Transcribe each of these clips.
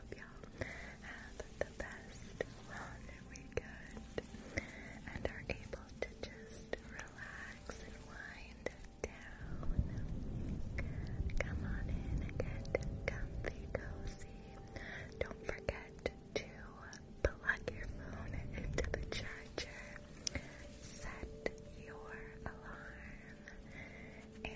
hope y'all have the best weekend and are able to just relax and wind down. Come on in and get comfy, cozy. Don't forget to plug your phone into the charger, set your alarm, and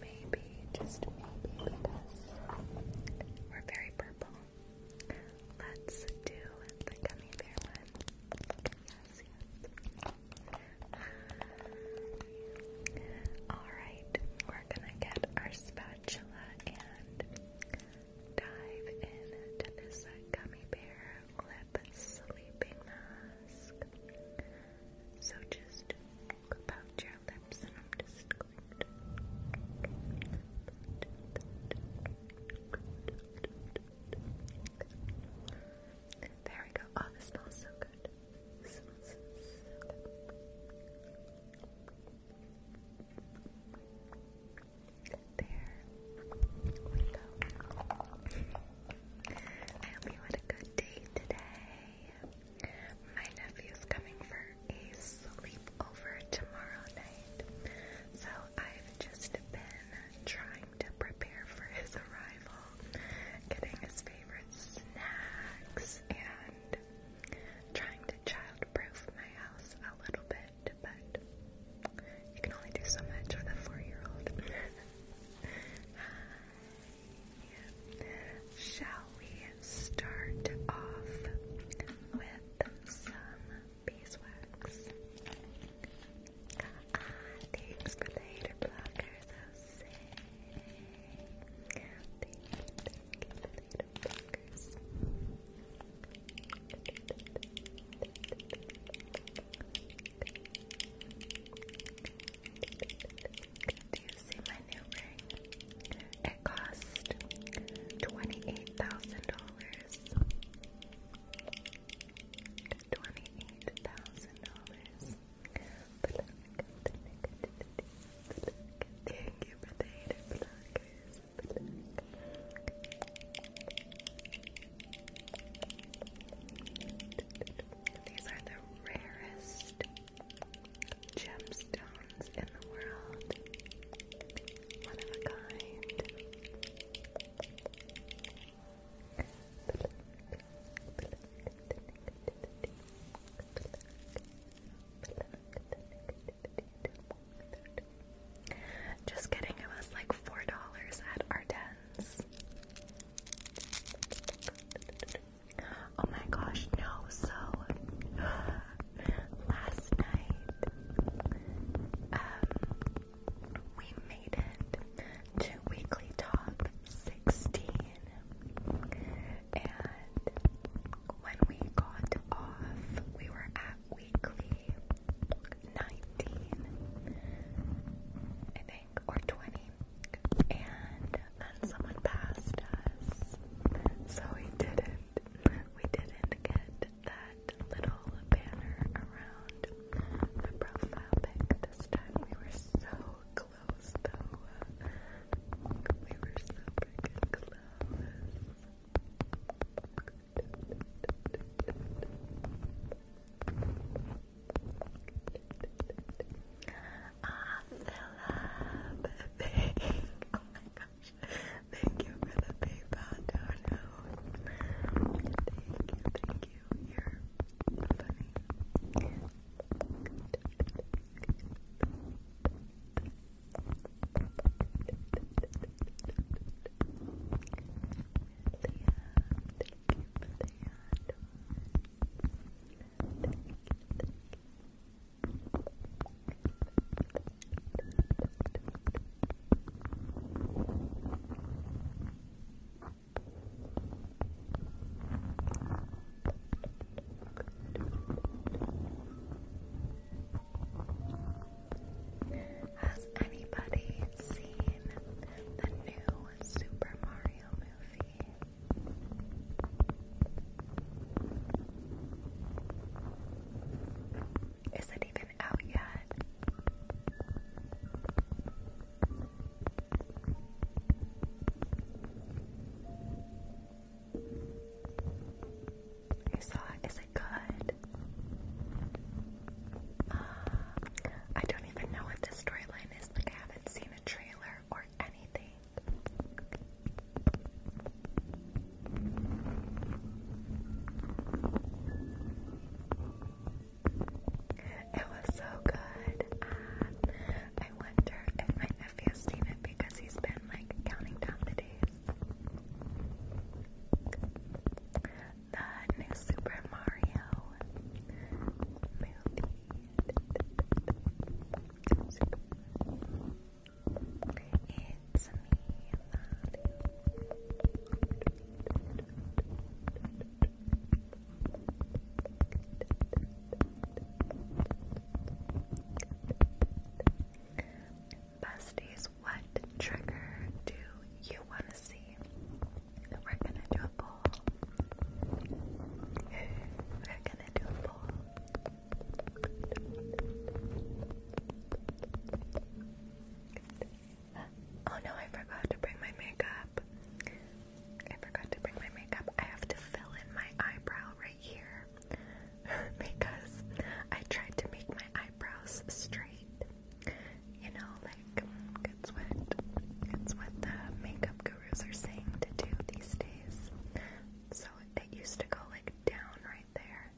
Maybe, just maybe, because we're very purple. Let's do the gummy bear one. Yes, yes. Alright, we're gonna get our spatula and dive into this gummy bear lip sleeping mask. So just pout your our lips, There we go. Oh, This smells so good. There we go. I hope you had a good day today. My nephew is coming for a sleepover tomorrow night, so I've just been trying to prepare for his arrival, getting his favorite snacks, and trying to childproof my house a little bit, but you can only do so much with a four year old. Shall we start off with some beeswax? Ah, the hater blockers, Jose. Thank do you see my new ring? It cost twenty-eight thousand dollars. Twenty-eight thousand dollars. Thank you for the hated These are the rarest gemstones in the world. One of a kind. Just kidding, it was like $4 at Ardennes. Oh my gosh, no. So last night, um, we made it to weekly top 16. And when we got off, we were at weekly 19, I think, or 20. And and someone passed us. So we didn't, we didn't get that little banner around the profile pic this time. We were so close though. We were so close off Oh my gosh. Thank you for the PayPal dono. Thank you, thank you. You're funny. Thank you has anybody seen the new Super Mario movie? Is it even out yet? I saw it. Is it good? Um, I don't even know what this storyline is. Like I haven't seen a trailer hair or It was so good. Ah, I wonder if my nephew's seen it because he's been like counting down the days. The new Super Mario movie. It's me, Besties, what trigger do you want to see? We're gonna do a poll. We're gonna do a poll. Oh no, I forgot to bring my makeup. I forgot to bring my makeup. I have to fill in my eyebrow right here because I tried to make my eyebrows straight. You know, like, it's what, it's what the makeup gurus are saying to do these days. So it used to go like down right there.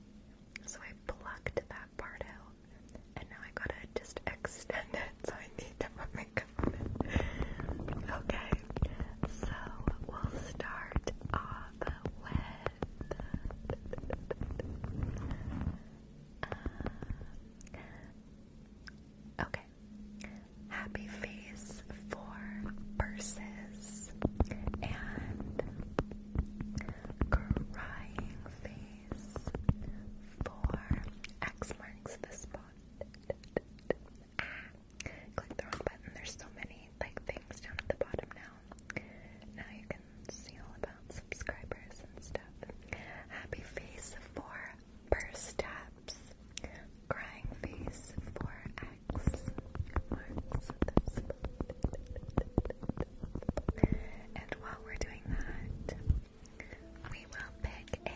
So I plucked that part out and now I gotta just extend it so I need to put makeup on it. Okay, so we'll start off with uh, Okay. Happy Face for purses and Crying Face for X marks the spot. Ah, click the wrong button. There's so many like things down at the bottom now. Now you can see all about subscribers and stuff. Happy Face for Purse Taps. Crying face 4X marks the spot. And while we're doing that, we will pick a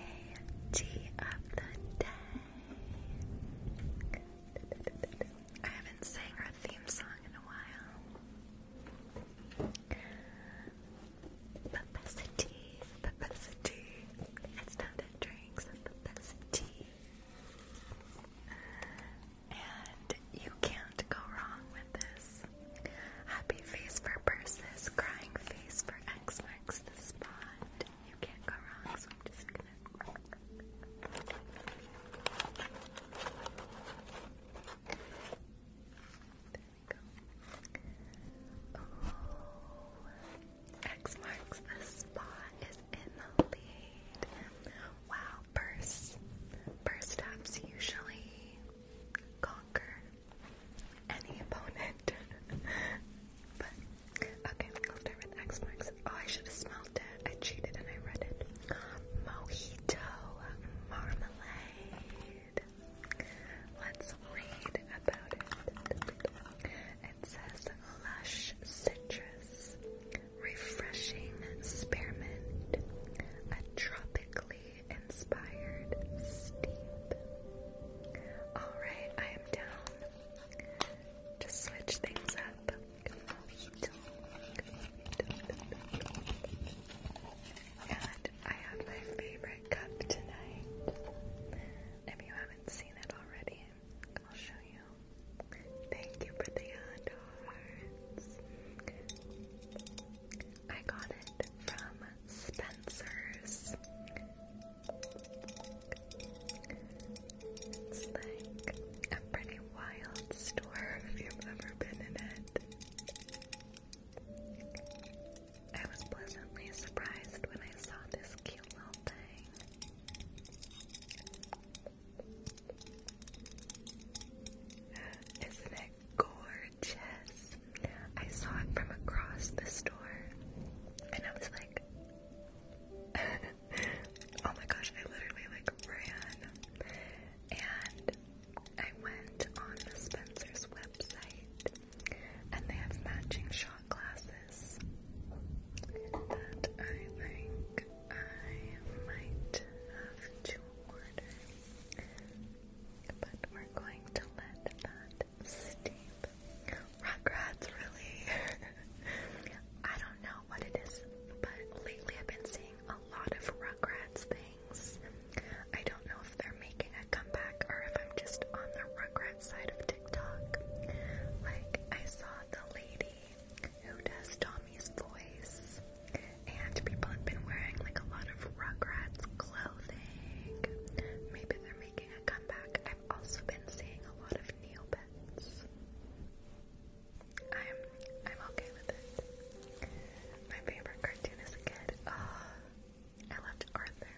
tea of the day. I haven't sang her theme song in a while. Publicity, publicity. It's not a drink, it's publicity. And you can't go wrong with this. Happy face for purses, crying face for X marks the spot. You can't go wrong, so I'm just gonna. There we go. X marks the spot is in the lead. Wow, purse. Purse taps usually conquer any opponent. but, okay, I'll start with X marks. Oh, I should have smelled it. I cheated and I read it. Mojito Marmalade. Let's read about it. It says lush citrus, refreshing spearmint, a tropically inspired steep. Alright, I am down to switch things up. And I have my favorite cup tonight. If you haven't seen it already, I'll show you. Thank you for the hot I got it from Spencer's. like a pretty wild store if you've ever been in it. I was pleasantly surprised when I saw this cute little thing. Isn't it gorgeous? I saw it from across the store and I was like, oh my gosh, I literally like ran and I went on the Spencer's website and they have matching shot glasses that I like. I might have to but we're going to let that steep. Rugrats, really? I don't know what it is, but lately I've been seeing a lot of Rugrats things. I don't know if they're making a comeback or if I'm just on the Rugrats side of TikTok. Like, I saw the lady who does Tommy's voice. And people have been wearing like a lot of Rugrats clothing. Maybe they're making a comeback. I've also been seeing a lot of Neopets. I'm I'm okay with it. My favorite cartoon as a kid. Oh, I loved Arthur.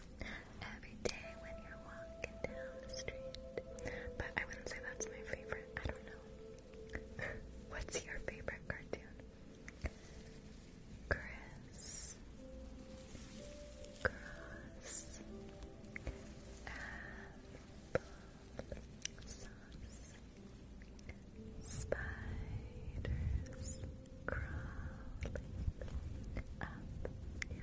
Every day when you're walking down the street. But I wouldn't say that's my favorite. I don't know. What's your favorite cartoon? Chris. Cross. Apple. Spiders crawling up your back.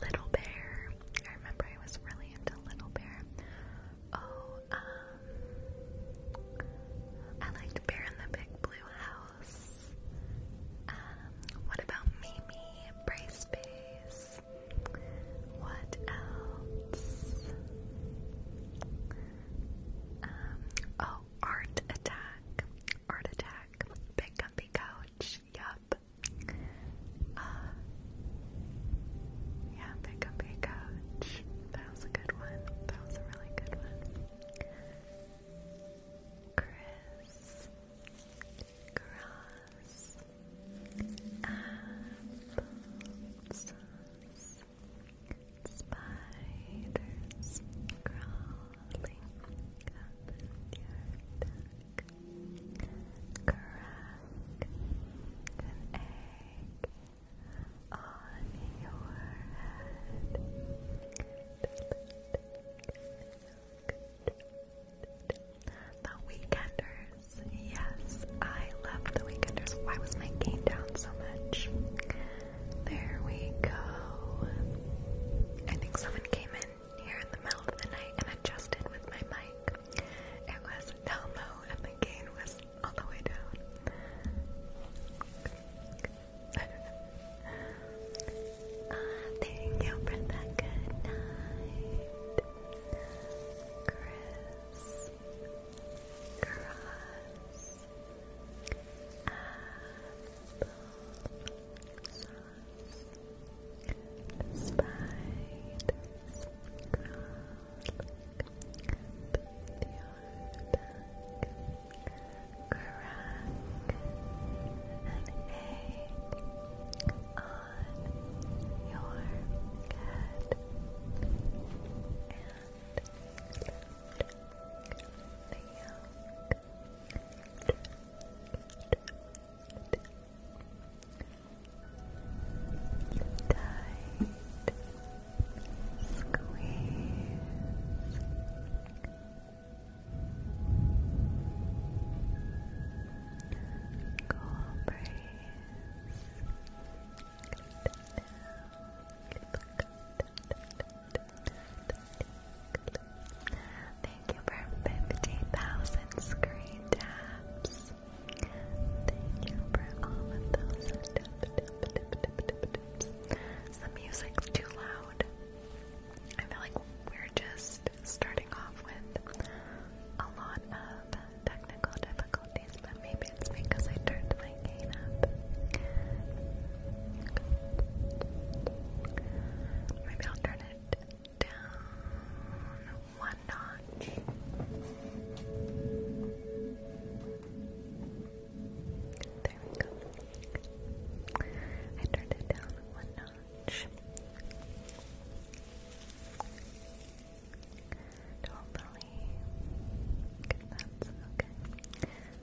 Little Bear. I remember I was really into Little Bear. Oh, um, I liked Bear in the Big Blue House. Um, what about Mimi? Brace What else? Um, oh, Art Attack. Art Attack. Big Comfy Couch. Yup. Uh, yeah, pick up a That was a good one. That was a really good one. Chris, grass, apples, spiders crawling up your back. The Weekenders. Yes, I love The Weekenders. Why was my game down so much? There we go. I think someone came in near in the middle of the night and adjusted with my mic. It was down low and the gain was all the way down. Ah, thank you for that good night. Chris. Cross. Apple. Sorry. The spiders crawling up crack an egg on your head, and the Tight squeeze. Cool Thank you for 50,000 screen taps. Thank you for all of those The music's too loud. I feel like we're just starting off with a lot of technical difficulties, but maybe it's because I turned my gain up. Maybe I'll turn it down one notch. There we go. I turned it down one notch. Totally. That's okay. Chris.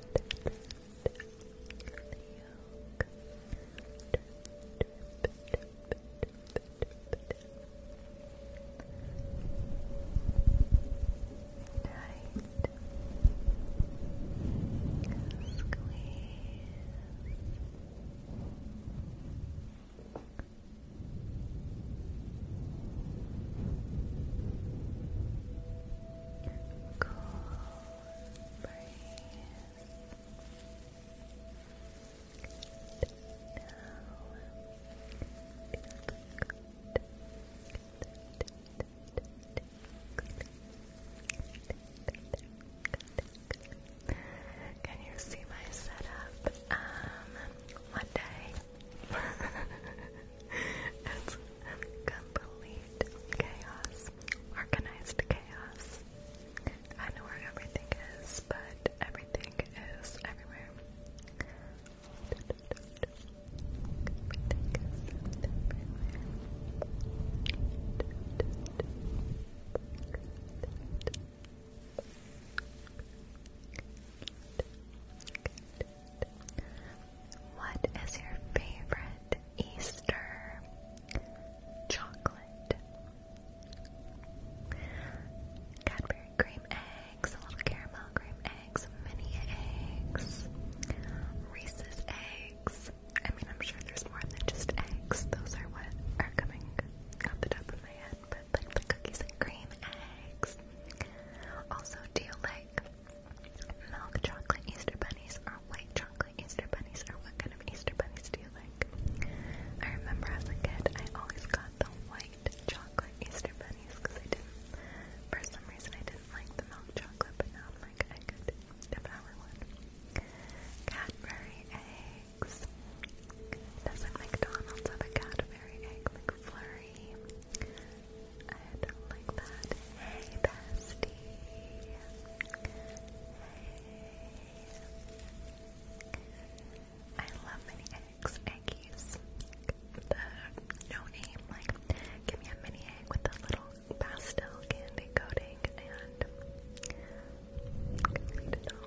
Squeeze. Can you see my setup? Um, one day it's complete chaos. Organized chaos. I know where everything is, but everything is everywhere. What is your favorite Easter chocolate? Cadbury cream eggs, a little caramel cream eggs, mini eggs, Reese's eggs. I mean, I'm sure there's more than just eggs. Those are what are coming off the top of my head, but like the cookies and cream eggs. Also, do you like Milk chocolate Easter bunnies or white chocolate Easter bunnies or what kind of Easter bunnies do you like? I remember as a kid I always got the white chocolate Easter bunnies because I didn't, for some reason I didn't like the milk chocolate but now I'm like I could devour one. Cadbury eggs. does McDonald's have a Cadbury egg McFlurry? I don't like that. Hey, bestie. Hey. I love mini eggs, eggies. The no name, like, give me a mini egg with a little pastel candy coating and. Complete Cross.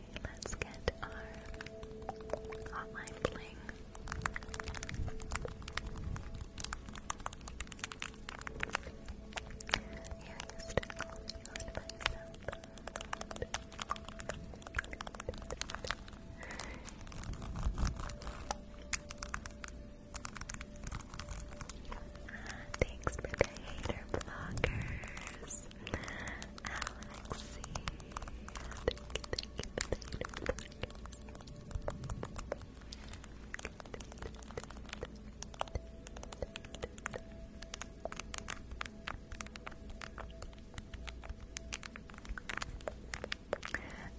let's get our hotline bling. Yeah, to call me my cell Thanks for the hater blockers. Alexi. Thank you,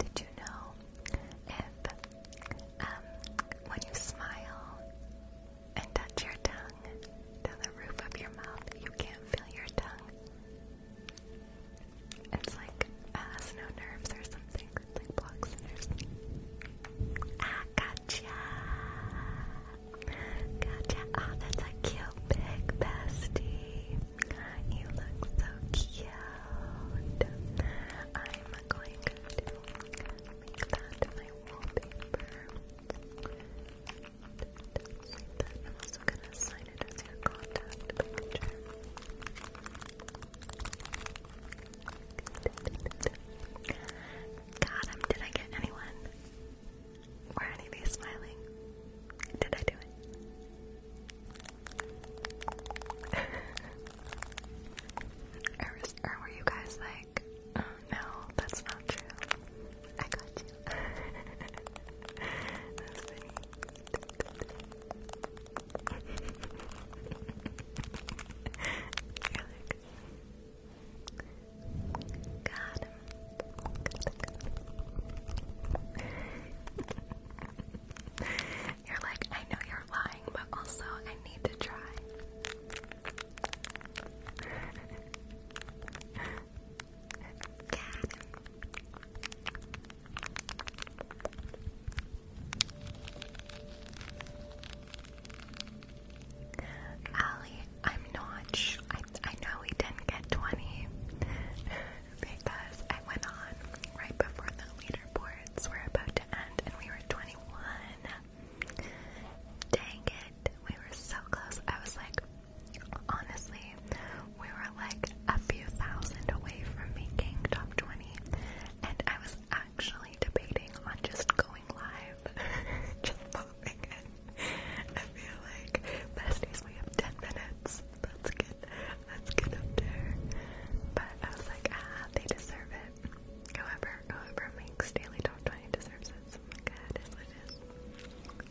Did you know if um, when you smile and touch your tongue tongue to the roof of your mouth. You can't feel your tongue. It's like it uh, no nerves or something. It's ah, gotcha! Gotcha. Oh, that's a cute pig bestie. You look so cute. I'm going to make that my wallpaper. I'm gonna sign it as your contact God, um, did I get anyone? Were any smiling? Did I do it? or, were you guys like, oh, no, that's not true? I got you. You're like, got him. You're like, I know you're lying, but also I need to try. Ali, I'm not I, I know we didn't get 20 because I went on right before the leaderboards were about to end and we were 21. Dang it, we were so close. I was like, Honestly, we were like a few thousand away from making top 20, and I was actually debating on just going live, just popping in. I feel like besties, we have 10 minutes. That's good. That's good up there. But I was like, ah, they deserve it. However, whoever makes daily top 20 deserves it. So it is.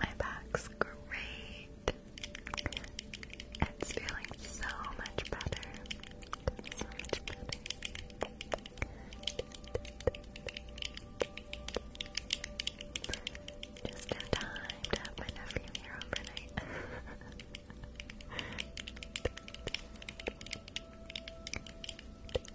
My back's great. It's feeling so much better. So much better. Just no time to have my nephew here overnight.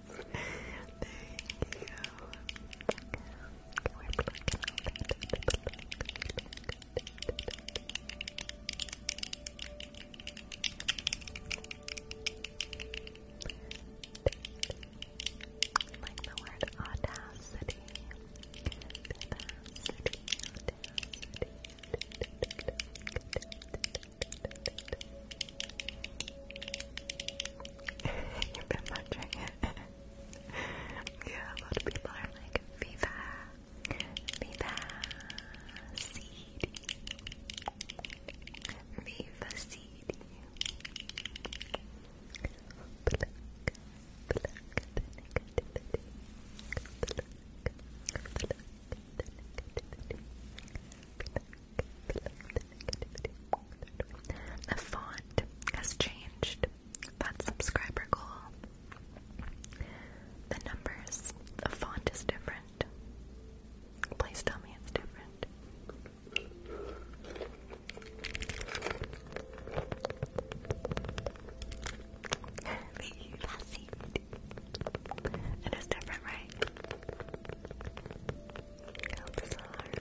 Thank you. We're plucking all that. Like the word audacity. Audacity, audacity. You've been watching it. yeah, a lot of people are like, Viva, Viva, CD, Viva, CD. Pluck, pluck the negativity. Pluck, pluck the negativity. Pluck, the font has changed. That subscriber goal. The numbers, the font is different. Please tell me it's different. It is different, right? outside, outside.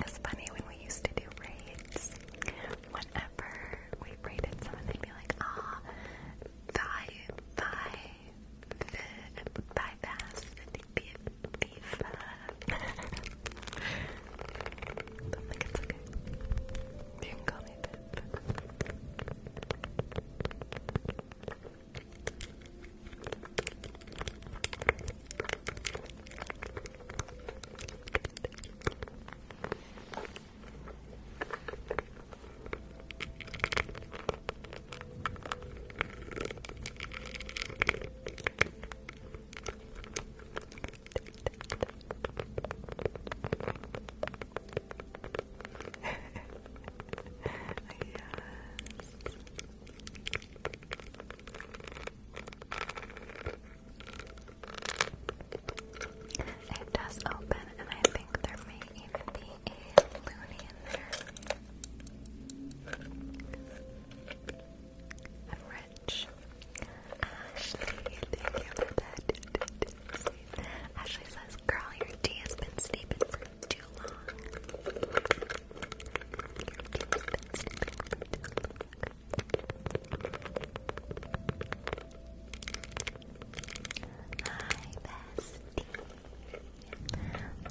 It's funny when we used to do raids, whenever we raided someone, they'd be like, ah, thy, teeth. but it's okay. You can call me it does open, and I think there may even be a loony in there. Ashley, thank you for that. Ashley says, girl, your tea has been sleeping for too long. for too long.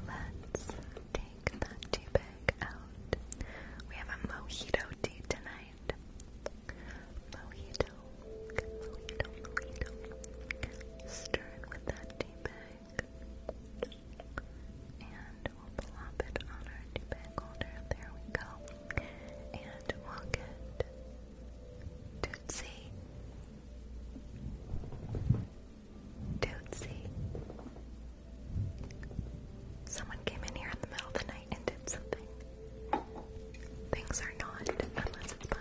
Hi, bestie. Let's take take that tea bag out. We have a mojito tea tonight. Mojito, mojito, mojito. Stir it with that tea bag. And we'll plop it on our tea bag holder. There we go. And we'll get Tootsie. Tootsie. Someone came in here in the middle of the night and did something. Things are not unless it's by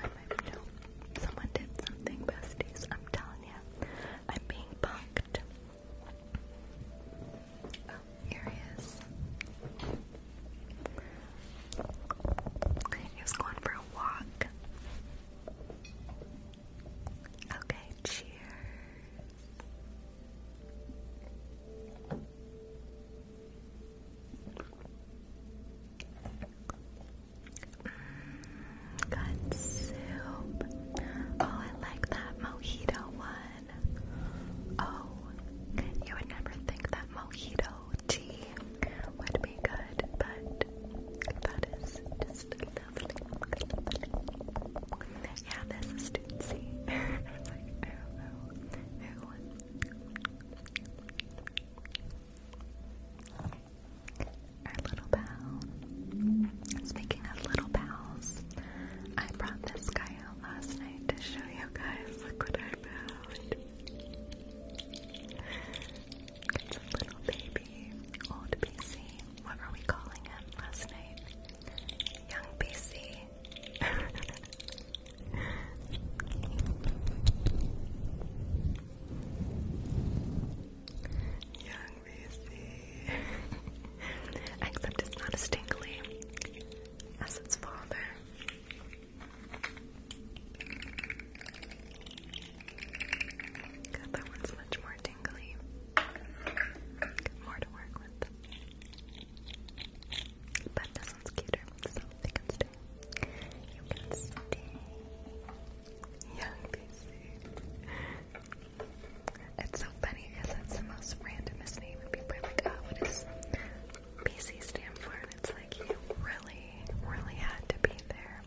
Someone did something, besties. I'm telling you, I'm being punked. Oh, He was going for a walk. Okay, cheers. Mm, good soup. Oh, I like that mojito one. Oh, you would never think that mojito tea would be good, but that is just lovely yeah, there's a student I was like, oh, oh, oh. Our little pal. Speaking of little pals, I brought this guy out last night to show you guys. Look what I found. It's a little baby, old PC. What were we calling him last night? Young BC. Young Reese. Except it's not as tingly as its father. that one's much more tingly. More to work with. But this one's cuter, so You can stay. Young PC. It's so funny because that's the most randomest name, and people are like, oh, what does PC stand for? And it's like, you really, really had to be there.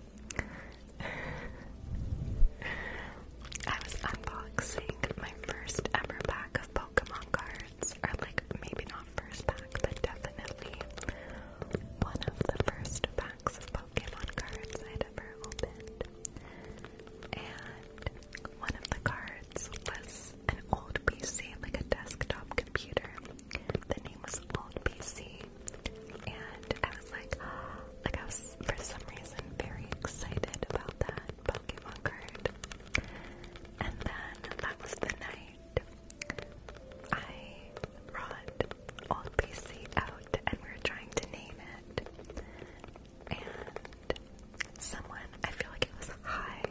I was unboxing my first ever pack of Pokemon cards, or like maybe not first pack, but definitely one of the first packs of Pokemon cards I'd ever opened. And one of the cards was an old PC, like a desktop computer. The name was Old PC, and I was like, like I was for some reason very excited about that Pokemon card. And then that was the night I brought Old BC out and we were trying to name it. And someone, I feel like it was high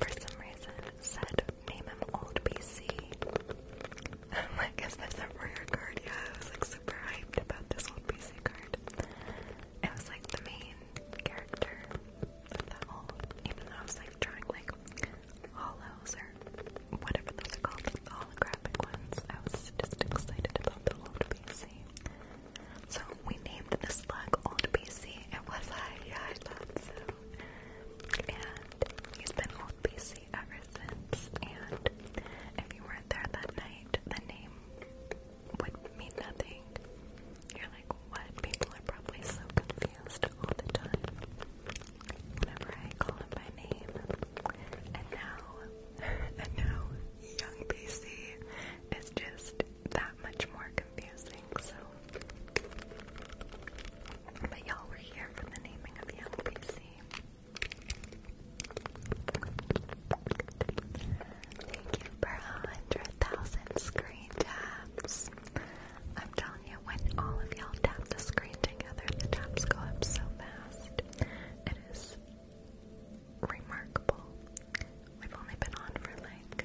for some reason, said, Name him Old BC. I'm like, Is this a rare I was like super hyped about this Old BC card. It was like the main character Even though I was like drawing like hollows or whatever those are called, holographic ones, I was just excited about the old PC. So we named this slug Old PC. It was I, yeah, I thought And he's been Old PC ever since. And if you weren't there that night, the name would mean nothing. You're like, what? People are probably so confused all the time. Whenever I call him by name. And now, and now, young BC is just that much more confusing, so. But y'all were here for the naming of young BC. Thank you for a hundred thousand screen taps. I'm telling you, when all of y'all tap the screen together, the taps go up so fast. It is remarkable. We've only been on for like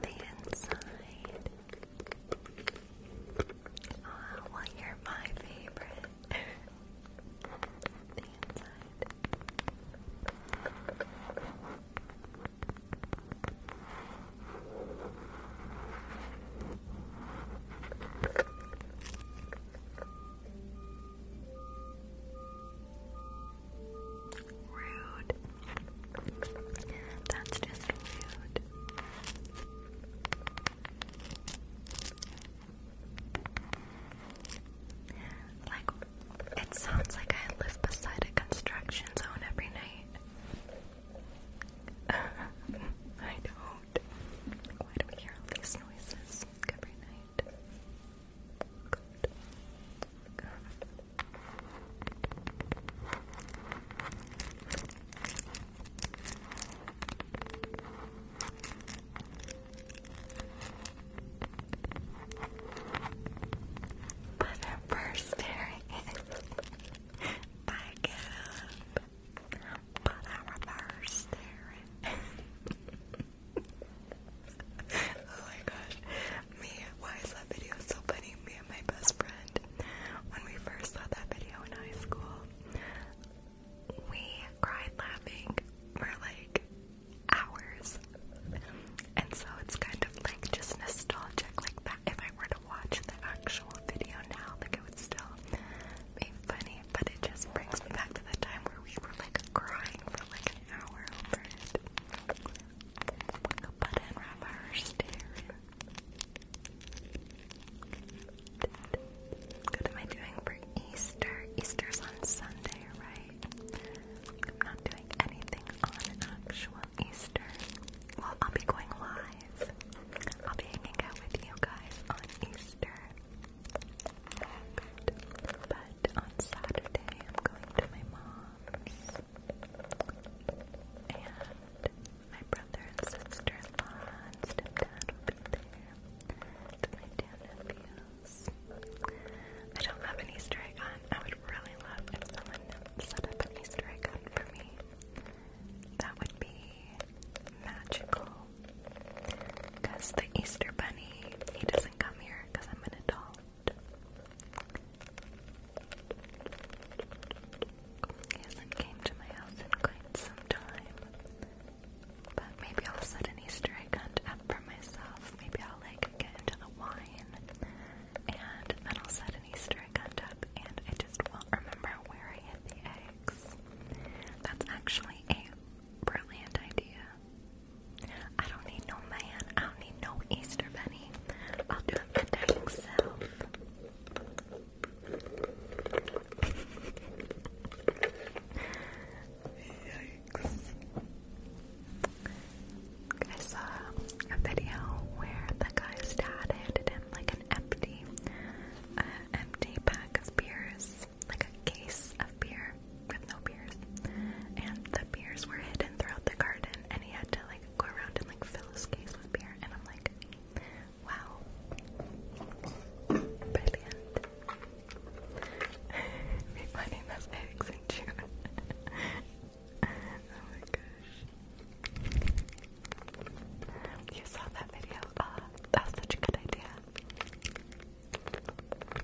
The inside. Oh, well, you're my favorite. the inside. Rude. That's just rude. Like, it sounds like I live beside a construction zone every night. I don't. Why do we hear all these noises every night? Good. Good. But her first fairy is back up. But our first fairy. oh my gosh. Me, why is that video so funny? Me and my best friend, when we first saw that video in high school, we cried laughing for like hours. And so it's kind of like just nostalgic like that. If I were to watch the actual video now, like it would still be funny, but it just brings me back to the time where we were like crying for like an hour over it. What am I doing for Easter? Easter's on Sunday, right? I'm not doing anything on an actual Easter. Well, I'll be going live. I'll be hanging out with you guys on Easter on Saturday I'm going to my mom's and my brother and sister-in-law and stepdad will my two nephews. I don't have an Easter egg on. I would really love if someone set up an Easter egg on for me. That would be magical. Because the Easter bunny, he doesn't come here because I'm an adult. He has came to my house in quite some time. But maybe I'll set an Easter egg hunt up for myself. Maybe I'll like get into the wine and then I'll set an Easter egg hunt up and I just won't remember where I hid the eggs. That's actually a brilliant idea. I don't need no man. I don't need no Easter bunny. I'll do it myself. I saw a video where the guy's dad handed him like an empty, uh, empty pack of beers, like a case of beer, with no peers. And the beers were hidden throughout the garden, and he had to like go around and like fill his case with beer. And I'm like, wow, brilliant. Finding those eggs in June. oh my gosh! You saw that video? Ah, that's such a good idea.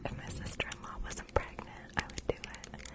If my sister-in-law wasn't pregnant, I would do it.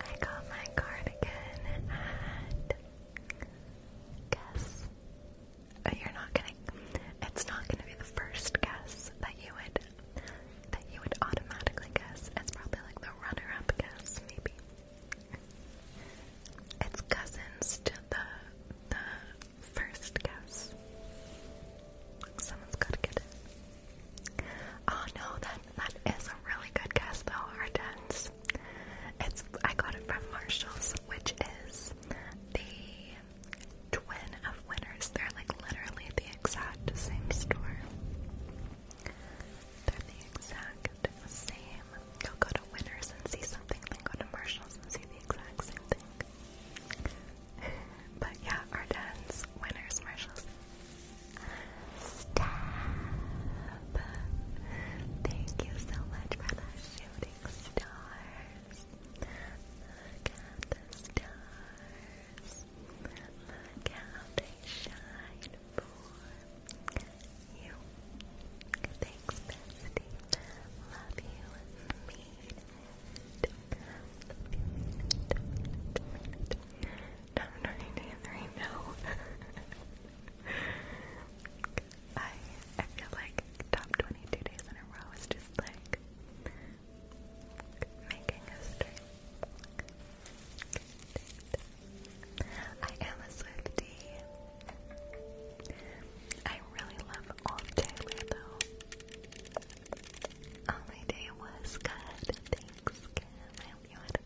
I got my cardigan at guess. Oh, you're not gonna. It's not gonna be the first guess that you would that you would automatically guess. It's probably like the runner-up guess, maybe. It's cousins to the the first guess. Someone's gotta get it. Oh no, that that is a really good guess though, Hortense. It's I got it from Marshalls, which is the twin of Winners. They're like literally the exact same store. They're the exact same. You'll go to Winners and see something, then go to Marshalls and see the exact same thing. But yeah, Ardennes, Winners, Marshalls. Stab. Thank you so much for the shooting stars. Look at the stars. Look how they shine for you. Thanks, bestie. Love you, mean it. Love you, mean it. I'm I I feel like top twenty two days in a row is just like making history. I am a Swiftie. I really love old Taylor though. Oh my day was good. Thanks, hope you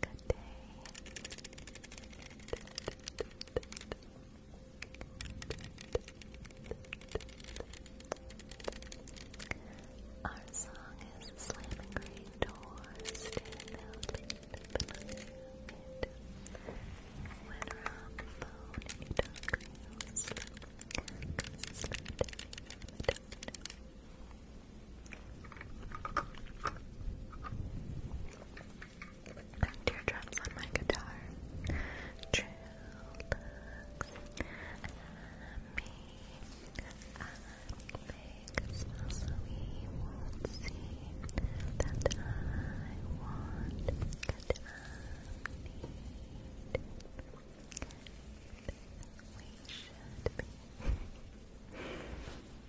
Our song is Slamming Green Doors. Stand out, when we're on the phone you don't feel sleep, Teardrops on my guitar. True I make a smile so he won't see that I want that I need. We should be.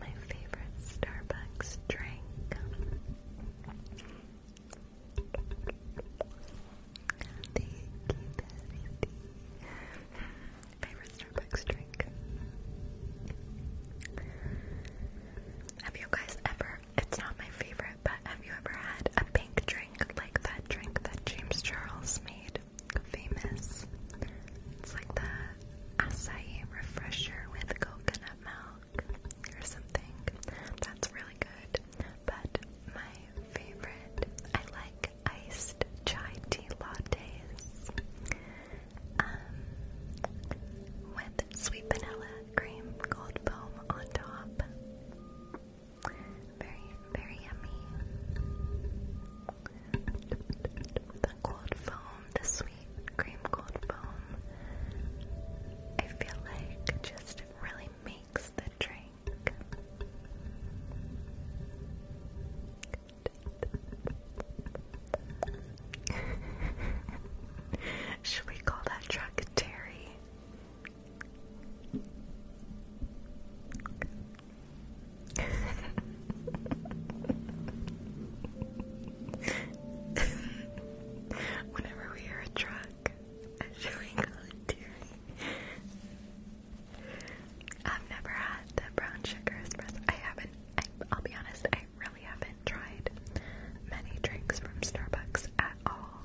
My favorite Starbucks drink. Thank you, hmm, Favorite Starbucks drink. Have you guys ever, it's not my favorite, but have you ever had a pink drink like that drink that James Charles made famous? It's like the acai refresher with coconut milk or something. That's really good. But my favorite, I like iced chai tea lattes. Um, with sweet vanilla cream gold foam on top. Very, very yummy. The gold foam, the sweet cream gold foam, I feel like just really makes the drink. Should we call that track Terry? Whenever we hear a truck, should we call it Terry? I've never had the brown sugar espresso. I haven't. I, will be honest, really haven't tried many drinks from Starbucks at all.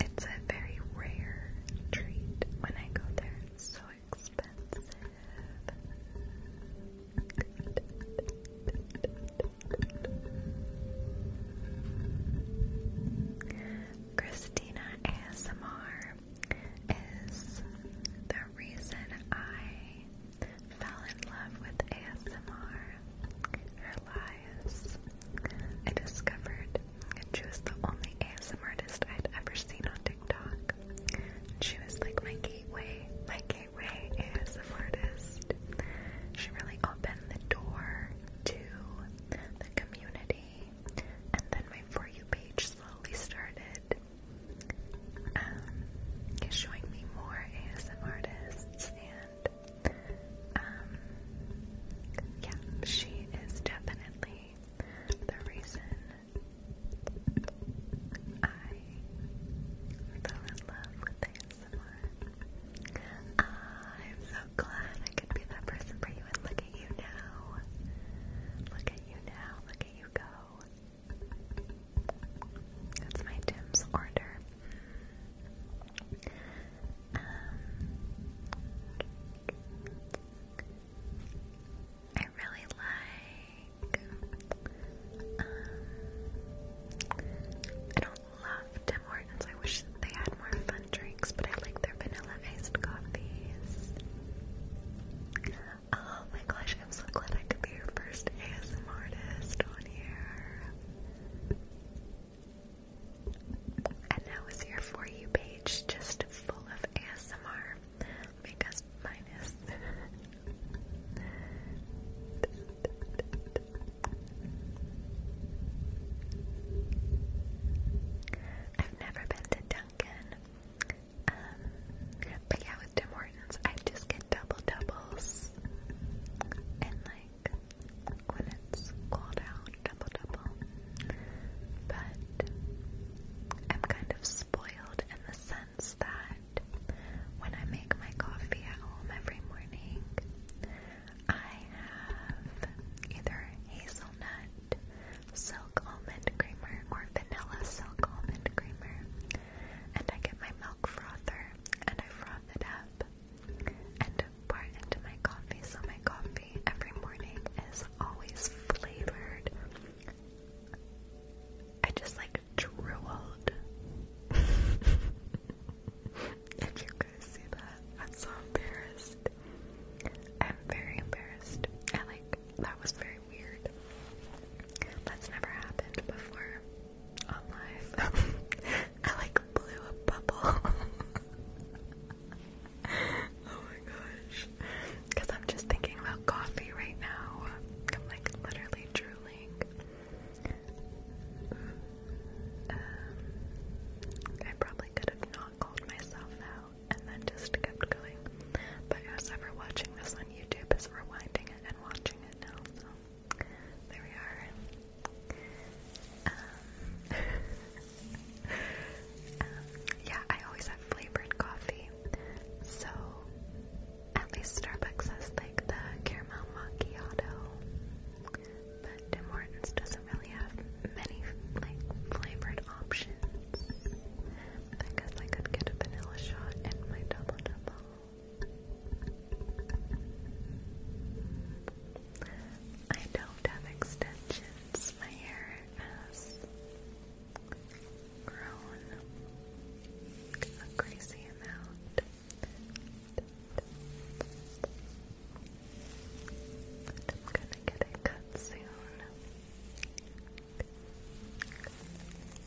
It's a very rare treat when I go there. so expensive. Christina ASMR is the reason I fell in love with ASMR, her lives. I discovered that she was the only ASMR artist I'd ever seen on TikTok. She was like my gateway, my gateway ASMR artist. She really opened the door to the community, and then my For You page slowly started. Um, is showing me more ASM artists, and um, yeah, she is definitely the reason I fell in love with ASMR. I'm so glad I could be that person for you, and look at you now. Look at you now. Look at you go. That's my Tim's order. Um, I really like. Um, I don't love Tim Hortons. I wish they had more fun drinks, but I like their vanilla iced coffees. Oh my gosh, I'm so glad I could be your first ASMR artist on here. And now is your For You page just full of ASMR because mine is. I've never been to Duncan. Um, but yeah, with Demore I just get double doubles and like when it's cold out, double double. But I'm kind of spoiled in the sense that when I make my coffee at home every morning, I have either hazelnut silk almond creamer or vanilla silk almond creamer, and I get my milk frother and I've wrought it up and pour into my coffee. So my coffee every morning is always flavored. I just like drooled. if you guys see that, I'm so embarrassed. I'm very embarrassed. I like that was very weird. That's never happened before. I like blew a bubble. oh my gosh. Because I'm just thinking about coffee right now. I'm like literally drooling. Um, I probably could have not called myself out and then just kept going. But whoever's watching this on YouTube is rewinding it and watching it now, so. There we are. Um, yeah, I always have flavored coffee. So, at least Starbucks has like the caramel macchiato. But Tim Hortons doesn't really have many like flavored options. I guess I could get a vanilla shot in my double double. I don't have extensions. My hair has grown a crazy amount. I'm gonna get it cut soon.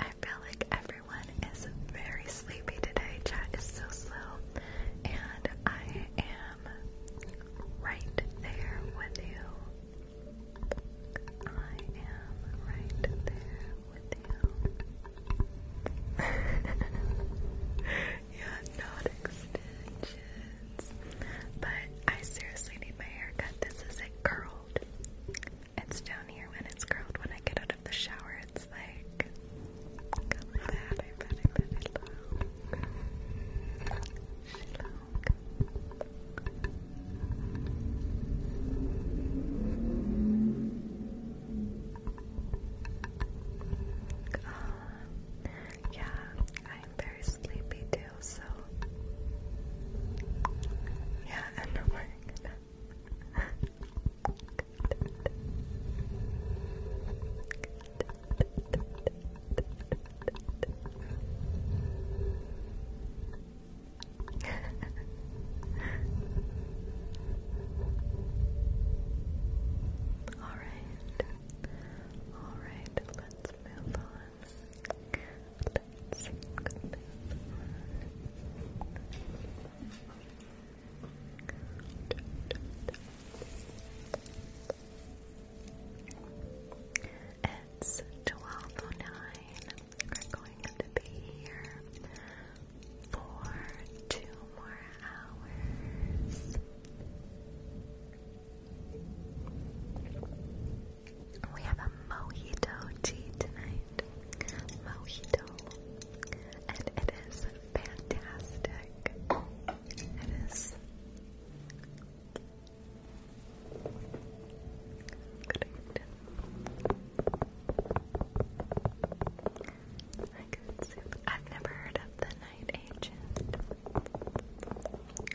I feel like everyone is very sleepy today. Chat is so slow, and I am right there with you. I am right there with you. yeah, not extensions. But I seriously need my haircut. This is it curled. It's down here when it's curled. When I get out of the shower, it's like oh uh, yeah, I'm very sleepy too, so yeah, and Alright. Alright, let's move on. It's twelve oh nine are going to be here for two more hours. We have a mojito tea tonight. Mojito. And it is fantastic. It is. Great. I have never heard of the Night Agent.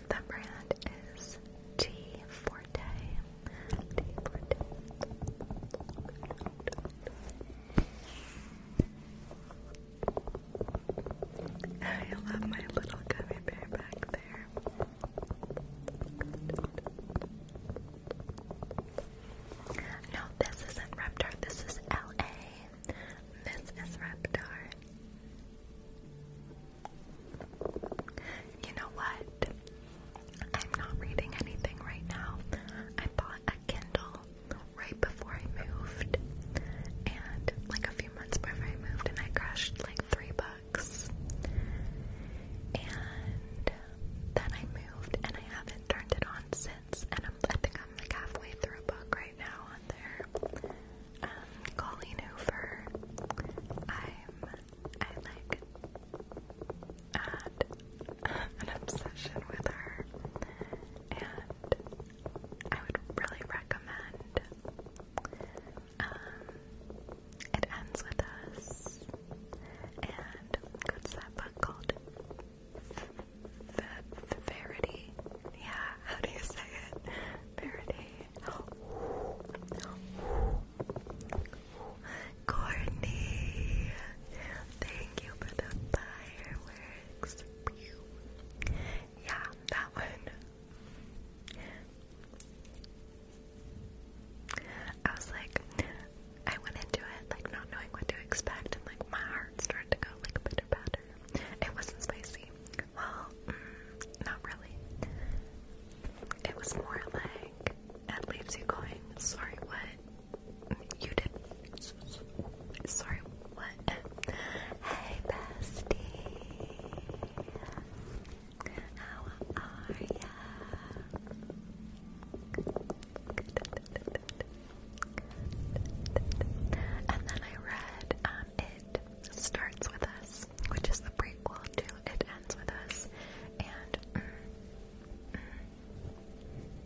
The brand is T Forte. I love my little gummy bear back there. No, this isn't Reptar, this is LA. This is Reptar. You know what? I'm not reading anything right now. I bought a Kindle right before I moved, and like a few months before I moved, and I crushed like three books. And uh, then I moved and I haven't turned it on since. And I'm, I think I'm like halfway through a book right now on there. Um, Colleen Hoover. I'm, I like an obsession with her. And I would really recommend um, it ends with us. And what's that book called? The Yeah, how do you say it? Verity. Courtney, thank you for the fireworks. Yeah, that one. I was like, I went into it like not knowing what to expect, and like my heart started to go like pitter patter. It wasn't spicy. Well, mm, not really. It was more like it leaves you going, sorry what? You did. Sorry what? Hey bestie. And then I read um, It Starts With Us, which is the prequel to It Ends With Us. And mm,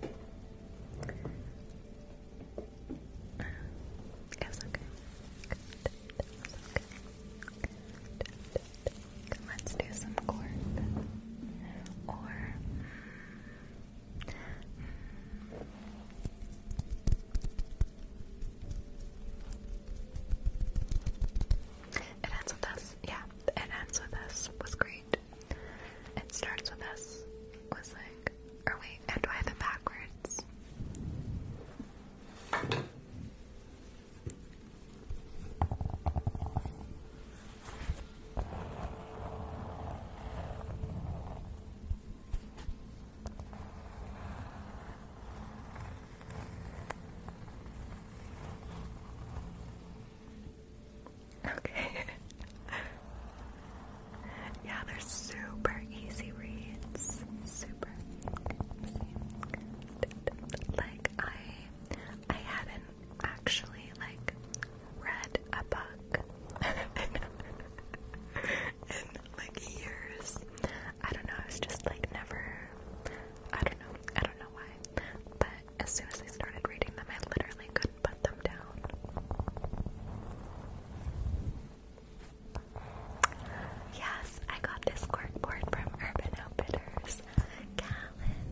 mm. okay. Let's do some cork. Or hmm. it ends with us. Yeah, it ends with us was great. It starts with us was like, or wait, and do I backwards? Okay. yeah, they're super easy reads. Super Like I I hadn't actually like read a book in like years. I don't know, I was just like never I don't know, I don't know why. But as soon as I started reading them I literally couldn't put them down. Yes, I got this corkboard from Urban Outfitters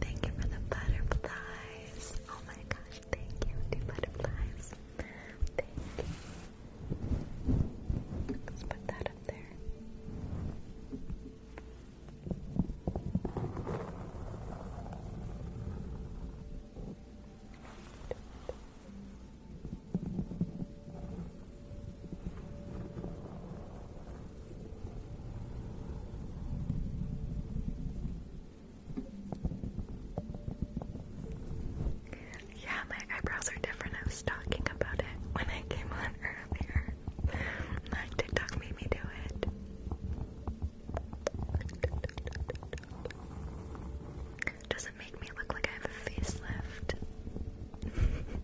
thank you for the butterflies. Oh my gosh, thank you, two butterflies. Let's put that up there. Yeah, my eyebrows are different. I was talking about it when I came on earlier. Like TikTok made me do it. Does it make me look like I have a facelift?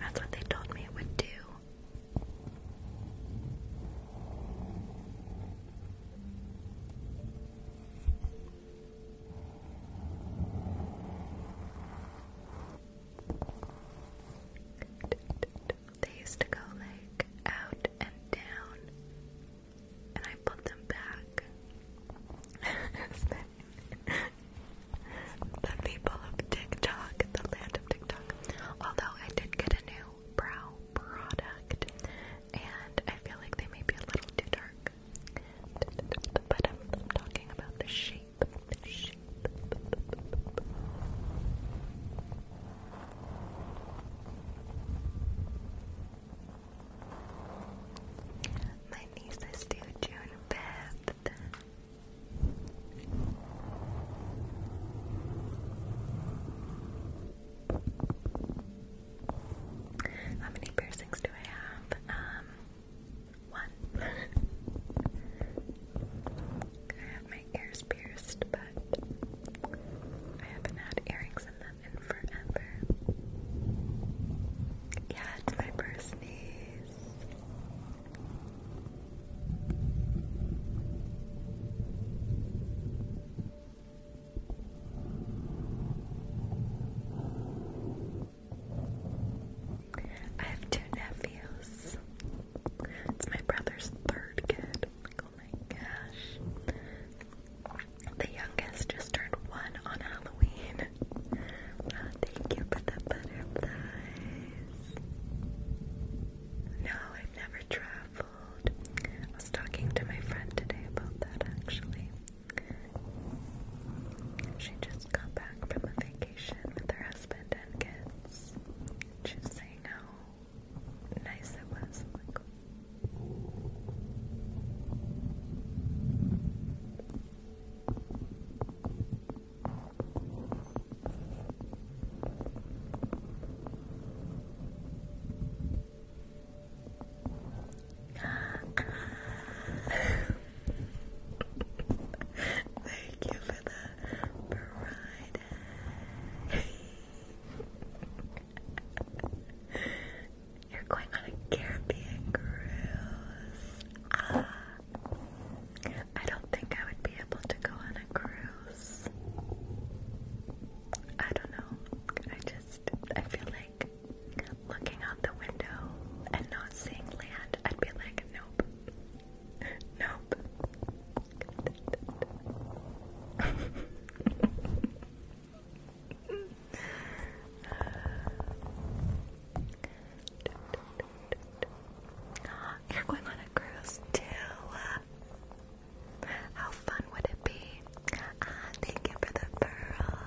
That's what they told me it would do. They used to go like out and down, and I put them back. the people of TikTok, the land of TikTok. Although I did get a new brow product, and I feel like they may be a little too dark. But I'm, talking about The shape. My niece is due June 5th. How many piercings do I have? Um, one. I have my ears pierced, but I haven't had earrings in them in forever. Yeah, it's my first I have two nephews. It's my brother's third kid. oh my gosh. The youngest just turned one on Halloween. Oh, thank you for the butterflies. No, I've never traveled. I was talking to my friend today about that actually. She just got back from a vacation with her husband and kids. She saying how nice it was. Thank you for the ride. You're going on a Caribbean cruise. Ah. I don't think I would be able to go on a cruise. I don't know. I just, I feel like looking out the window and not seeing land, I'd be like, nope. Nope. Uh, you're going on a cruise too. How fun would it be? Uh, thank you for the pearl.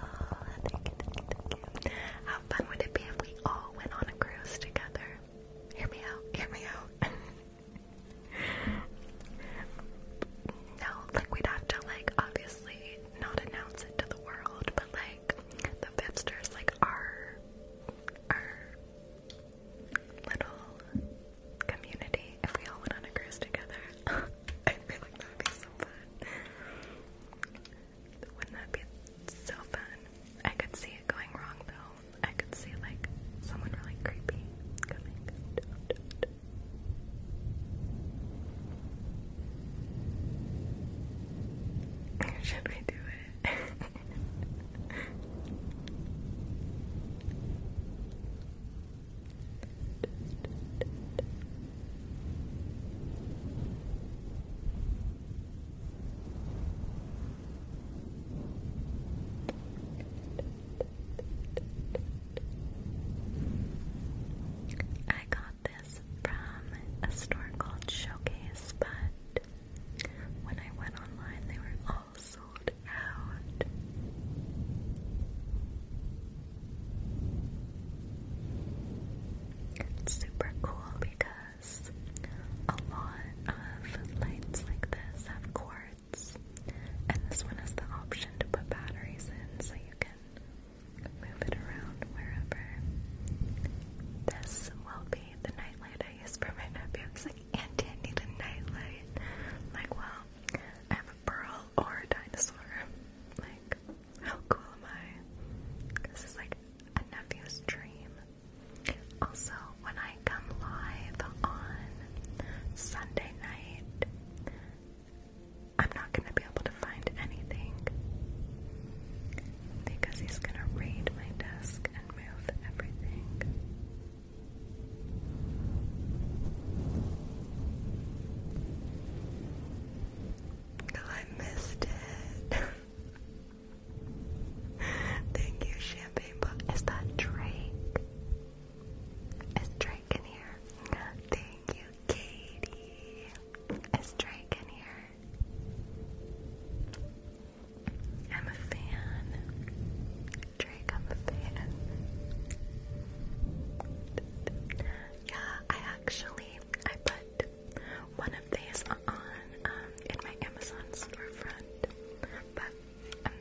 How fun would it be if we all went on a cruise together? Hear me out, hear me out. no, like we'd have to like obviously not announce it to the world, but like the Fitsters, like our our little community. If we all went on a cruise together, I feel like that would be so fun. Wouldn't that be so fun? I could see it going wrong though. I could see like someone really creepy coming. Should we do it? I got this from a store called Showcase, but when I went online, they were all sold out. It's super cool because a lot of lights like this have cords, and this one has the option to put batteries in so you can move it around wherever. This will be the nightlight I use for my nephew. He's like, Auntie, I need a nightlight. like, well, I have a pearl or a dinosaur. Like, how cool am I? This is like a nephew's dream. Also, when I come live on Sunday night, I'm not going to be able to find anything because he's gonna raid my desk and move everything. Oh, I missed it. Thank you, Champagne Bob. Is that Drake? Is Drake in here? Thank you, Katie. Is Drake in here? I'm a fan. Drake, I'm a fan. Yeah, I actually I put one of these on um, in my Amazon storefront, but um,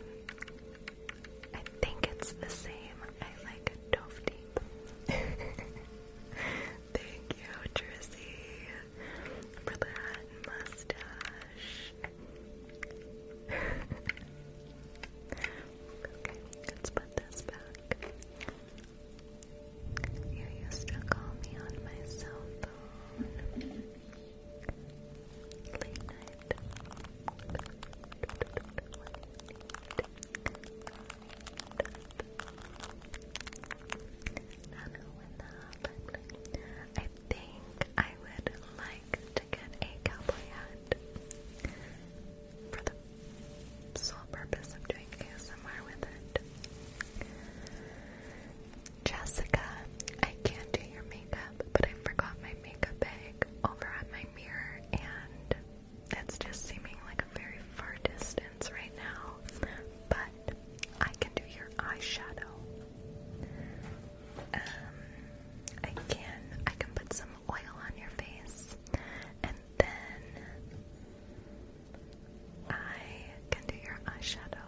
I think it's the same. I like Dove Deep. Thank you, Jersey, for that mustache. okay, let's put this back. You used to call me on my cell phone. Late night. I think I would like to get a cowboy hat for the sole purpose of doing ASMR with it. Jessica, I can't do your makeup, but I forgot my makeup bag over at my mirror, and that's just seeming like a very far distance right now. But I can do your eyeshadow. Um, I can put some oil on your face, and then I can do your eyeshadow.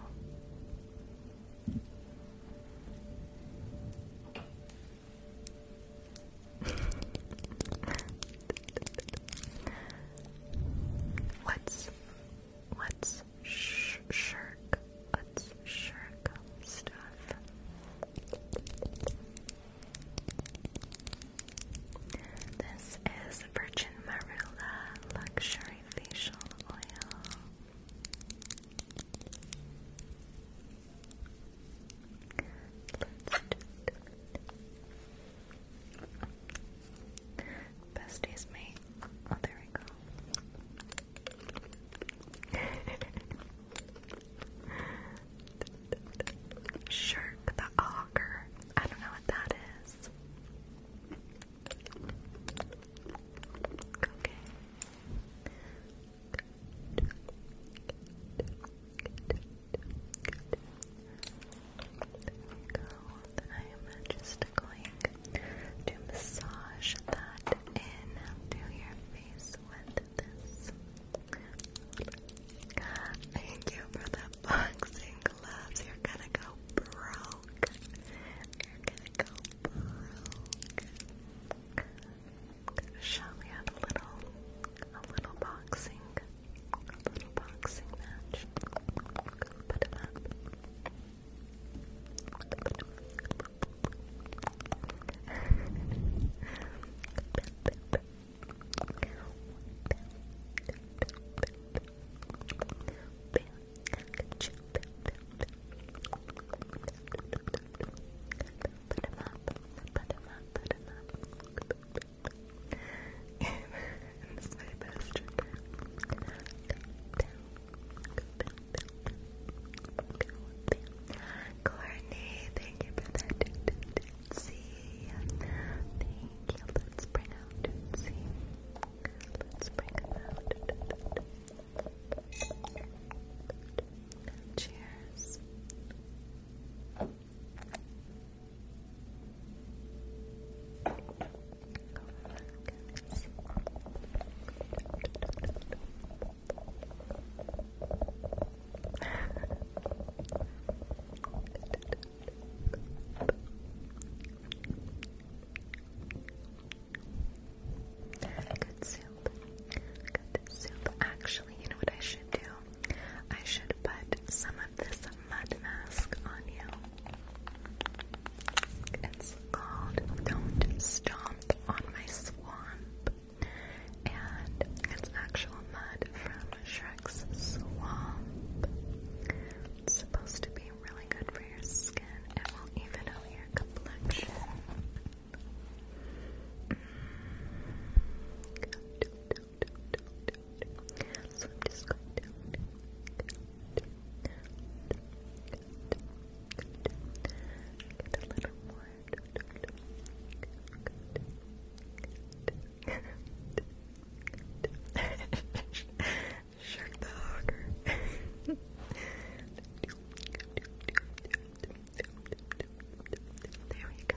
What's what's shirk? What's shirk stuff? This is Virgin Marilla Luxury Facial Oil. Besties, mate. Oh, there we go. Shirk the auger. I don't know what that is. Okay we go. I am just going to massage that in your face with this. Thank you for the boxing gloves. You're gonna go broke. You're gonna go broke. Shall we have a little, a little boxing? A little boxing match. Put him up. Put him up, put him up, put him up. Courtney, thank you for that tootsie. Thank you. Let's bring Let's bring Cheers. Good soup. Good soup. Actually, you know what I should do? I should put some of this mud mask on you. It's called Don't Stomp on My Swamp. And it's actual mud from Shrek's Swamp. It's supposed to be really good for your skin. It will even out your complexion. I'm just going to Shark the there we go.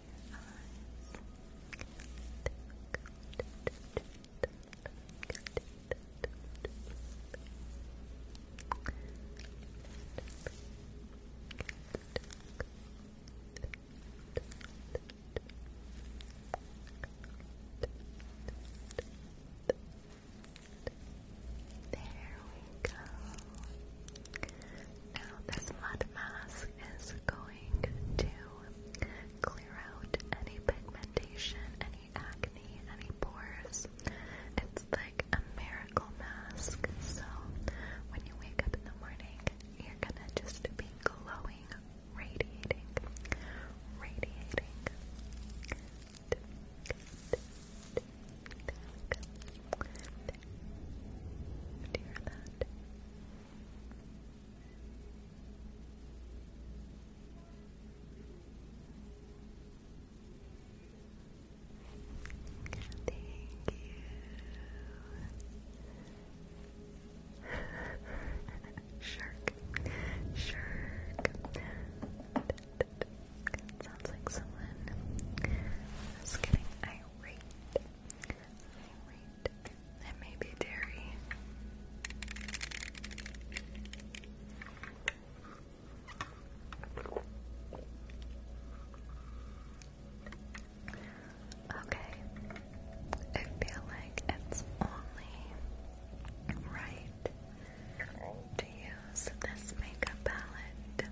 your eyes. There we go. Now, this mud mask is going to clear out any pigmentation, any acne, any pores. It's like a miracle mask. So when you wake up in the morning, you're gonna just be glowing, radiating, radiating. hear that? Thank you. Shark. Shark. sounds like someone is getting irate and maybe dairy. Okay, I feel like it's only right to use this makeup palette.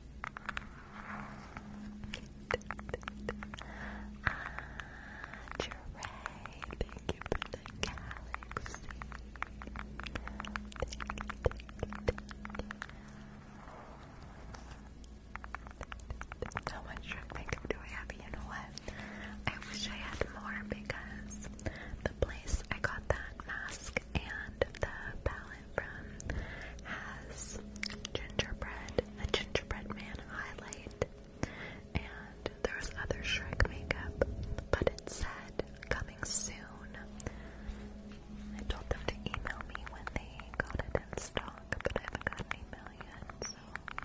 Ah, thank you for the galaxy. Thank you, thank do I have? You know what? I wish I had more because the place I got that mask and the palette from has gingerbread, a gingerbread man highlight, and there was other Shrek makeup, but it said coming soon. I told them to email me when they got it in stock, but I haven't got an yet, so.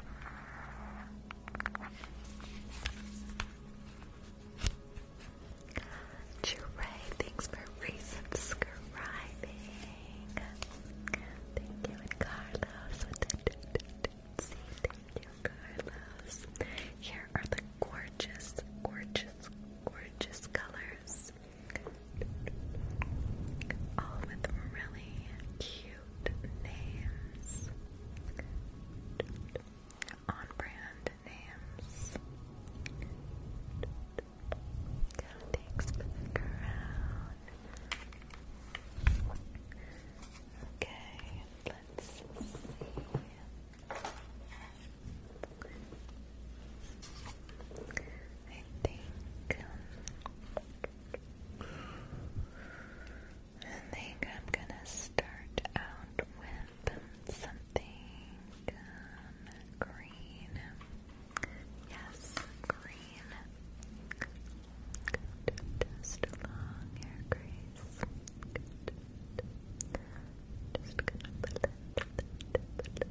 Trey, thanks for resubscribing. Thank Thank you, Carlos. Here are the gorgeous, gorgeous, gorgeous colors. All with really cute names. On brand names. Thanks for the crown. Okay, let's see. I think um, I'm gonna start out with then something green. Yes, green. Just along your grace. Just gonna blend, blend,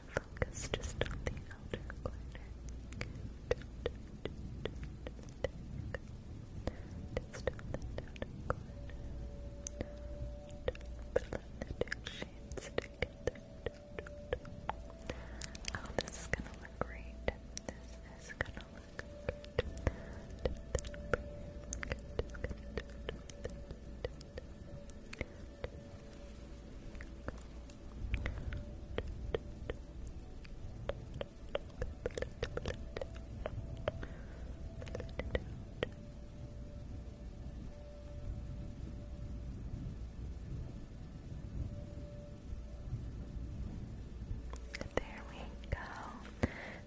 Focus just on the outer corner. Just on that outer corner. Put the two shades Oh, this is gonna look great. This is gonna look there we go.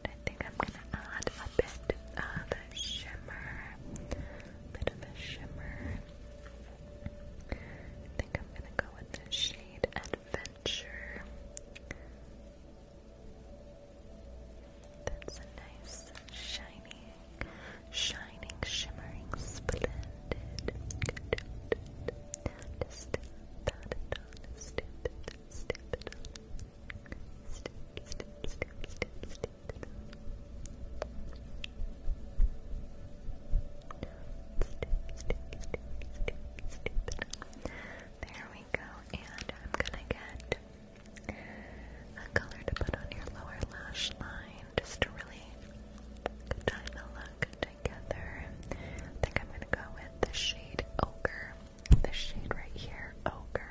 I think I'm gonna add a bit of shimmer bit of a shimmer. I think I'm gonna go with the shade Adventure. That's a nice, shiny, shining, shimmering, splendid. There we go, and I'm gonna get a color to put on your lower lash line just to really tie the look together. I think I'm gonna go with the shade Ochre, the shade right here, Ochre.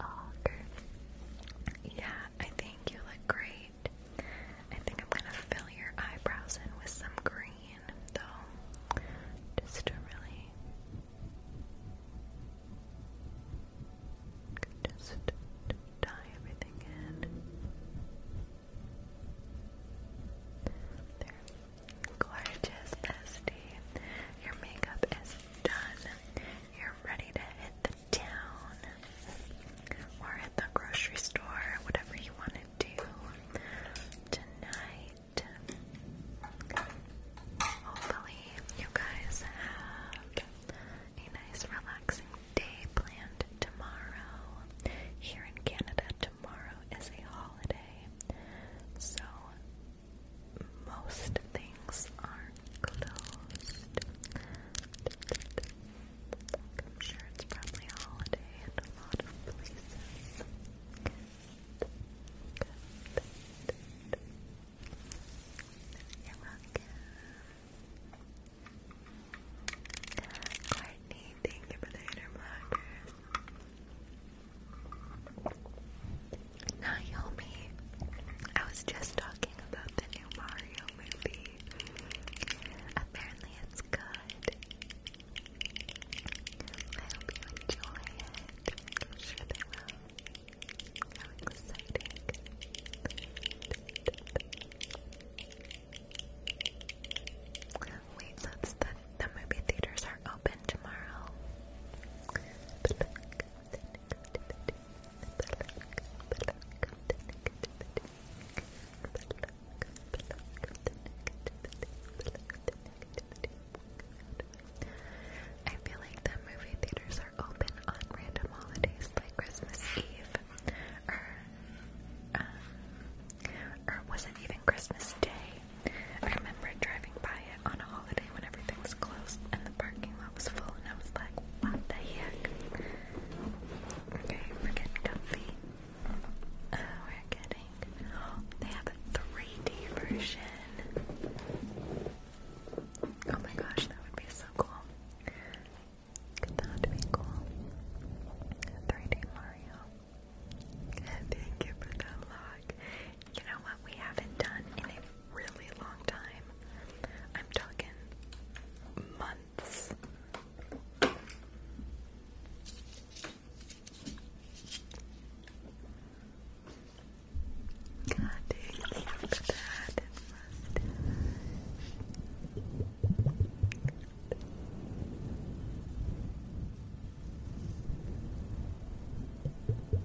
Auger. Yeah, I think you look great. I think I'm gonna fill your eyebrows in with some green, though, just to really. Just dye everything in. There. Gorgeous, Esty. Your makeup is done you're ready to hit the town or hit the grocery store, whatever you want to do tonight. Hopefully, you guys have a nice, relaxing day planned tomorrow. Here in Canada, tomorrow is a holiday. So, most things are closed. I'm sure it's probably a holiday in a lot of places. You're welcome. Courtney, thank you for the inner blockers. Naomi, I was just talking about the new Mario movie. Apparently, it's good. I hope you enjoy it. sure they will. How exciting! Wait, that's the movie theaters are open tomorrow. I feel like the movie theaters are open on random holidays like Christmas Eve or um, or was it even Christmas Day? I remember driving by it on a holiday when everything was closed and the parking lot was full, and I was like, what the heck? Okay, we're getting comfy. Uh, we're getting. they have a 3D version. Oh my gosh, that would be so cool. That be cool. 3D Mario. Thank you for the log. You know what we haven't done in a really long time. I'm talking months. God dang, look at that mustache. Good.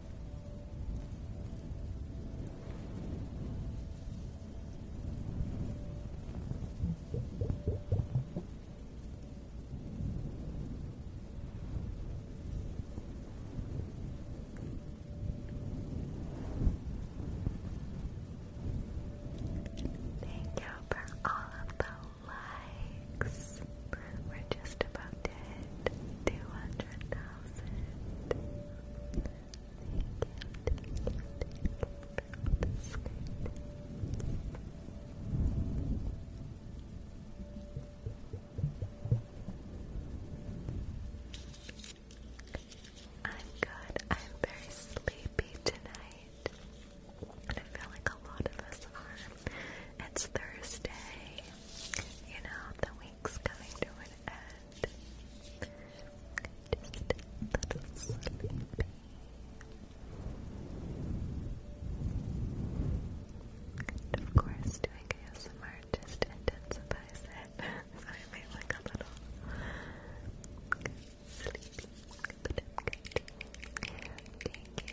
Thank you for all of the likes. We're just about 200,000. Thank you, I'm good. I'm very sleepy tonight. And I feel like a lot of us are. It's Thursday. You know, the week's coming to an end. Just a And of course, doing ASMR just intensifies it. so I may look a little sleepy, but i good. Thank you.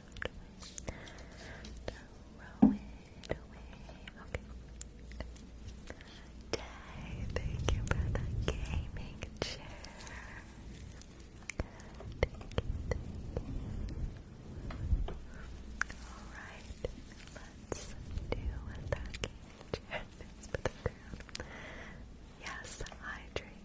Throw it away. Okay. Day, thank you for the gaming chair. Alright, let's do a gaming chair. Yes, hydrate.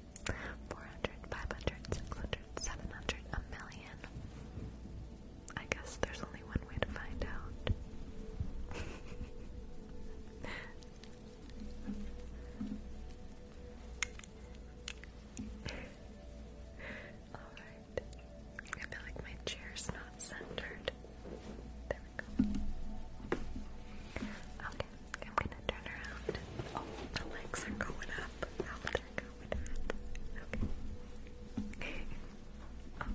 400, 500, 600, 700, a million. I guess there's only one way to find out. Alright. I feel like my chair's not centered. There we go. Okay, I'm gonna turn around. Oh, the legs are going up. How did go? what happened? Okay. oh. Okay.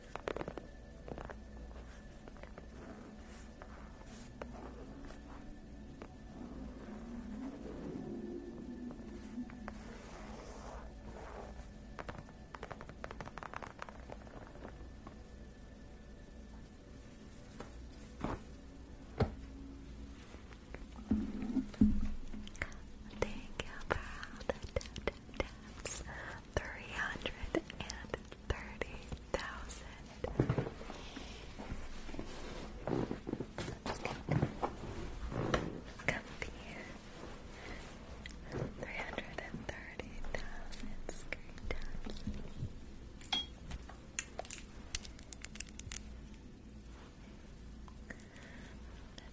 Thank you for all the tap three hundred and thirty thousand. Let's Three hundred and thirty thousand screen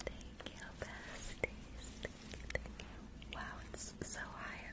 Thank you, besties. thank you. Wow, it's so high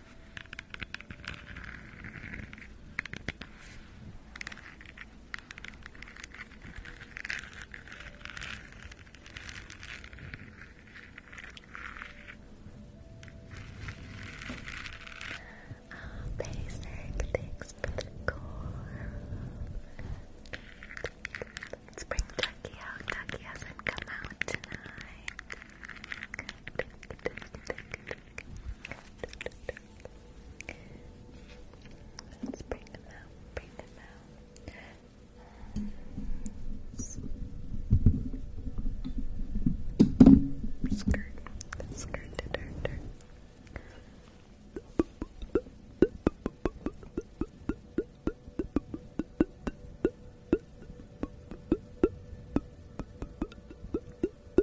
Oh, basic, thanks for the core. Let's bring Ducky out. Ducky hasn't come out tonight. Let's bring them out, bring them out. Skirt, skirt, dirt, dirt.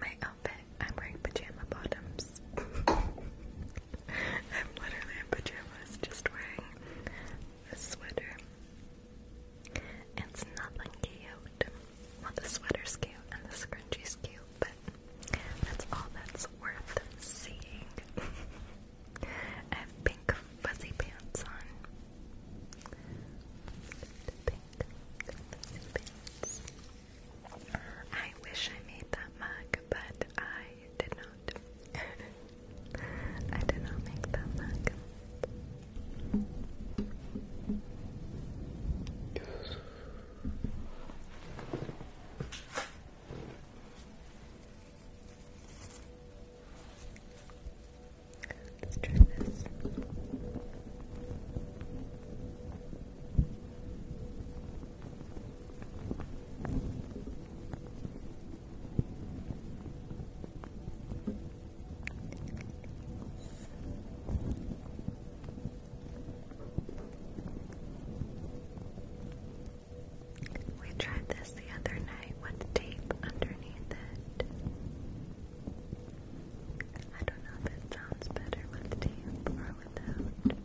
My outfit, I'm wearing pajama bottoms. I'm literally in pajamas, just wearing a sweater. It's nothing cute. Well, the sweater's cute and the scrunchie's cute, but that's all that's worth seeing. I have pink fuzzy pants on. Pink fuzzy pants. I wish I made that mug, but I did not. I did not make that look. Let's try this. We tried this the other night with tape underneath it. I don't know if it sounds better with tape or without.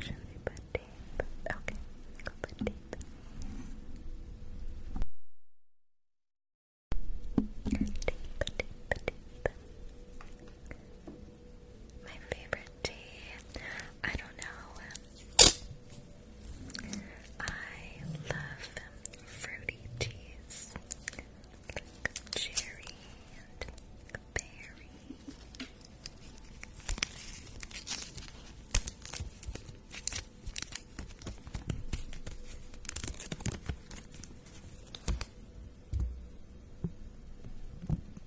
Should we put Okay, I'll put tape. Tape, My favorite tea. I don't know. I love fruity teas like cherry and berry.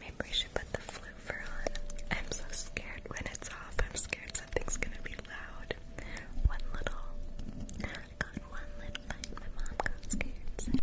Maybe we should put the floofer on. I'm so scared when it's off. I'm scared something's gonna be loud. One little I got one lip light. My mom got scared.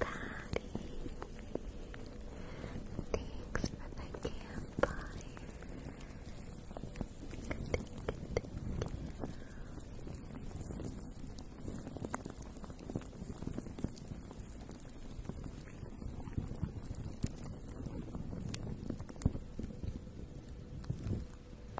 Patty, thanks for the campfire. Thank you,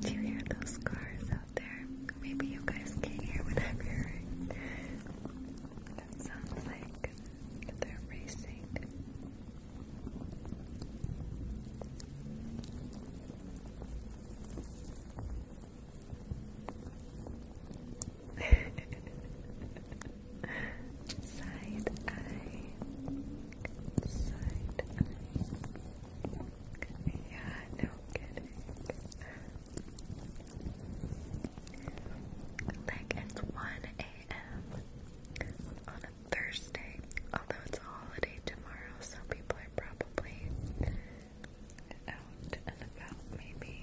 Do you hear those cars out there? Maybe you guys can hear what I'm hearing. That sounds like they're racing. Side eye side eye. Yeah, no kidding. Like it's 1 a.m. on a Thursday, although it's a holiday tomorrow, so people are probably out and about, maybe.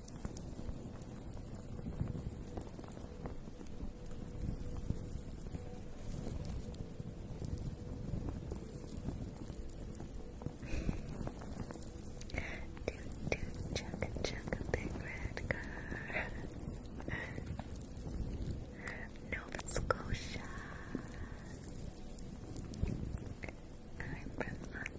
do do chugga chugga big red car Nova Scotia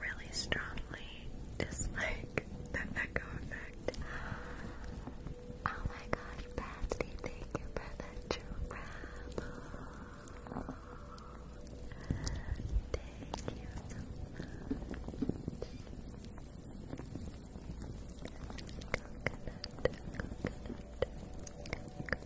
really strongly dislike the echo effect. Oh my gosh, Patsy, thank you for the giraffe. Thank you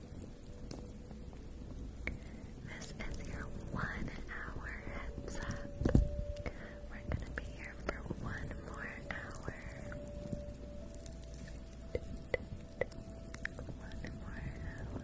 This is your one hour heads up. We're gonna be here for one more hour. One more hour.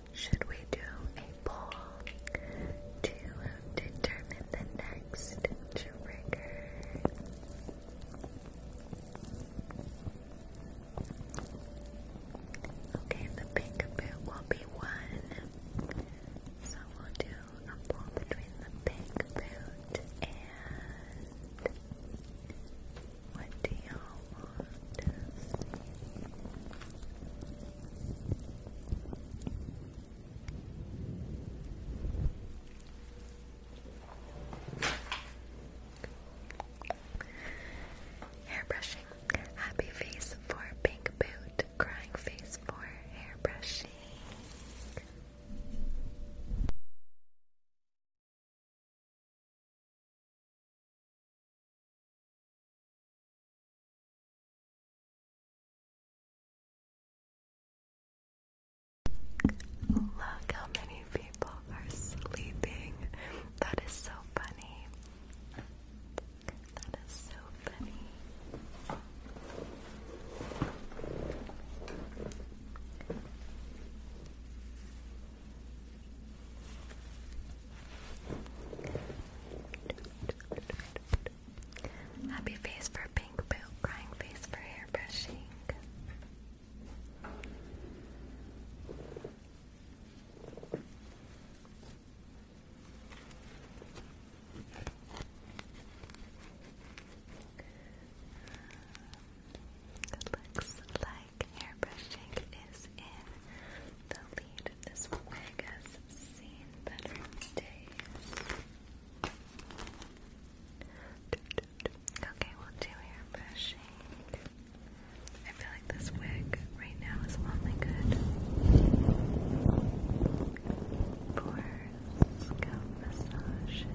Should we do a poll to determine the next trigger? Okay, the pink bit will be one. So we'll do a poll between the pink boot and what do you want Hair brushing. Happy face for pink boot. Crying face for hair brushing. Look how many people are sleeping. That is so funny. That is so funny. Happy face for pink boot, crying face for hair It um, looks like hair is in the lead Okay, we'll do hair brushing. I feel like this wig right now is only good for scalp massages.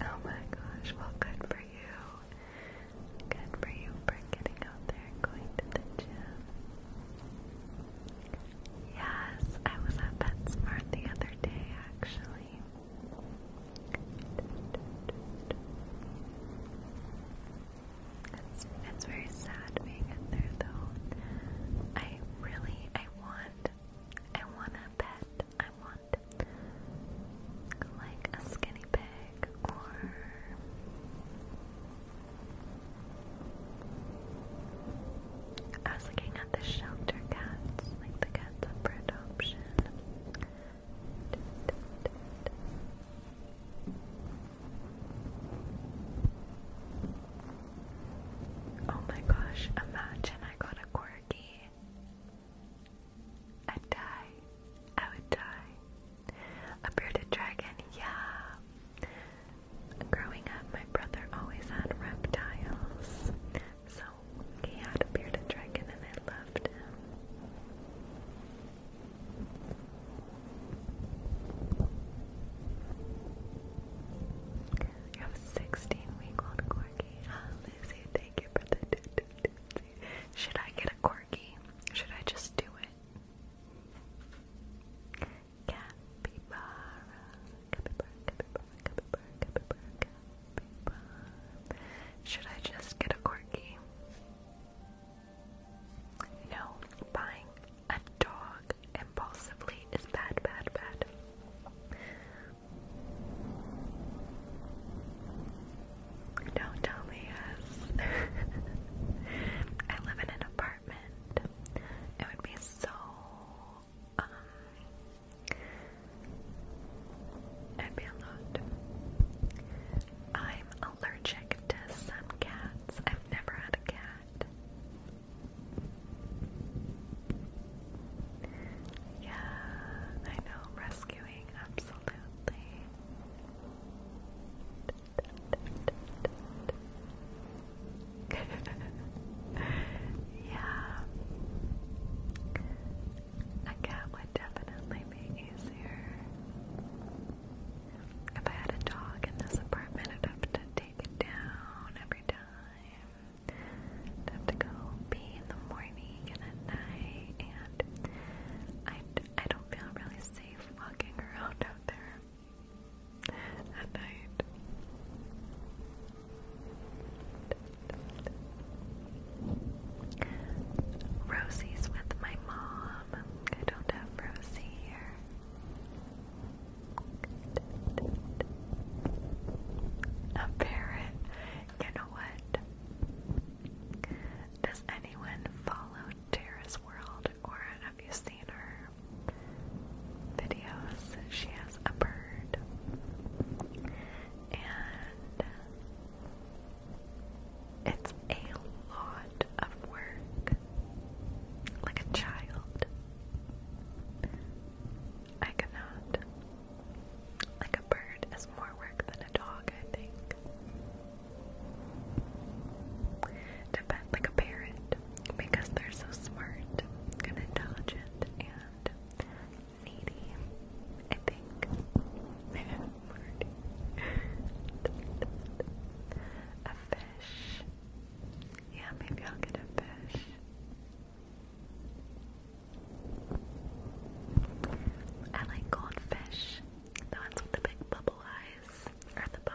Oh my gosh, well good for you. Good for you for getting out there going to the gym. Yes, I was at PetSmart the other day actually. it's very sad being in there though. I really, I want, I want a pet. I want like a skinny pig or I was looking at the shelter cats, like the cats for adoption. Oh my gosh, imagine I got a corgi. I'd die. I would die. A bearded dragon, yeah. Growing up, my brother always had reptiles. So he had a bearded dragon and I loved him. You have 16 week old corgi. Lizzie, thank you for the Should I get a corgi? Should I just do it? Should I just get a corgi? No, buying a dog impulsively is bad, bad, bad. Don't tell me yes. I live in an apartment. It would be so um, I'd be a I'm allergic to some cats. I've never had a cat. Yeah, I know, rescuing, absolutely. yeah. A cat would definitely be easier. If I had a dog in this apartment, I'd have to down every time. have to go pee in the morning and at night, and I, I don't feel really safe walking around out there at night. Rosie's with my mom. I don't have Rosie here. A parrot. You know what? Does anyone follow Terrace World or have you seen her videos? She has a bird. And it's a lot of work. Like a child. I cannot. Like a bird is more work than a dog, I think. Depend like a parrot, because they're so smart and intelligent and needy, I think. a fish yeah, maybe I'll get a fish. I like goldfish. The ones with the big bubble eyes. Or the bubble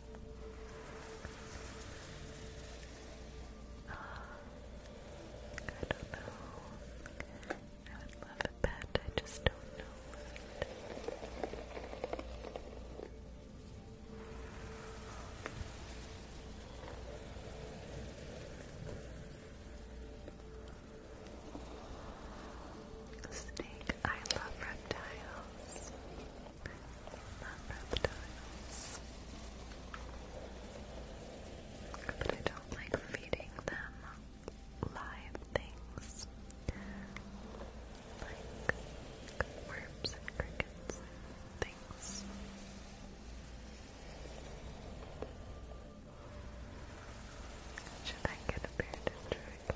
I don't know. I would love a pet, I just don't know Snake, I love reptiles not reptiles. But I don't like feeding them live things like worms and crickets things. Should I get a bearded dragon?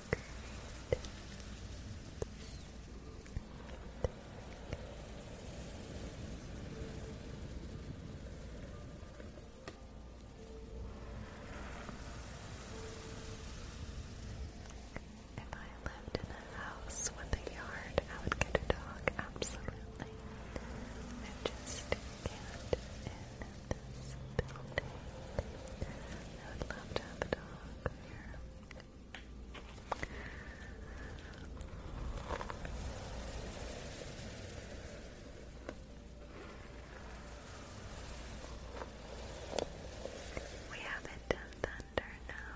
Good. If I lived in a house with a yard, I would get a dog, absolutely. I just can't in this building. I would love to have a dog. We haven't thunder now.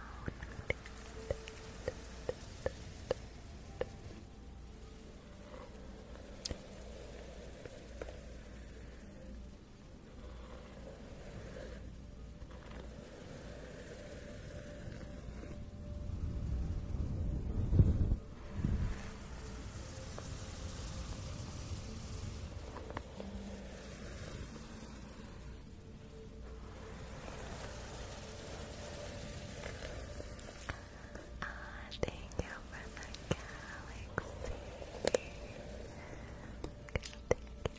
Ah, thank you for the galaxy. thank you.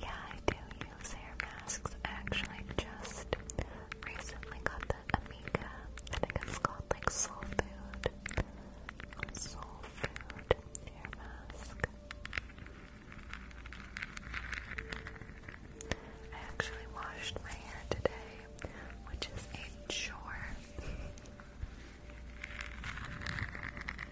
Yeah, I do use hair masks. I actually just recently got the Amiga. I think it's called like Soul Food. Soul Food hair mask. I actually washed my hair today, which is a chore.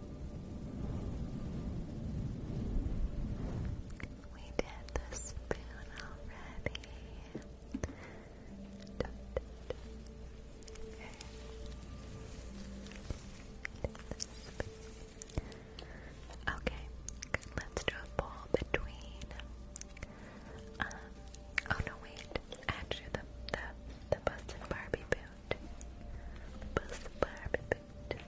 We did the spoon already. Okay. let's do a bowl between. Um, oh no, wait. Actually, the the the busted Barbie boot Buzz the Barbie boot.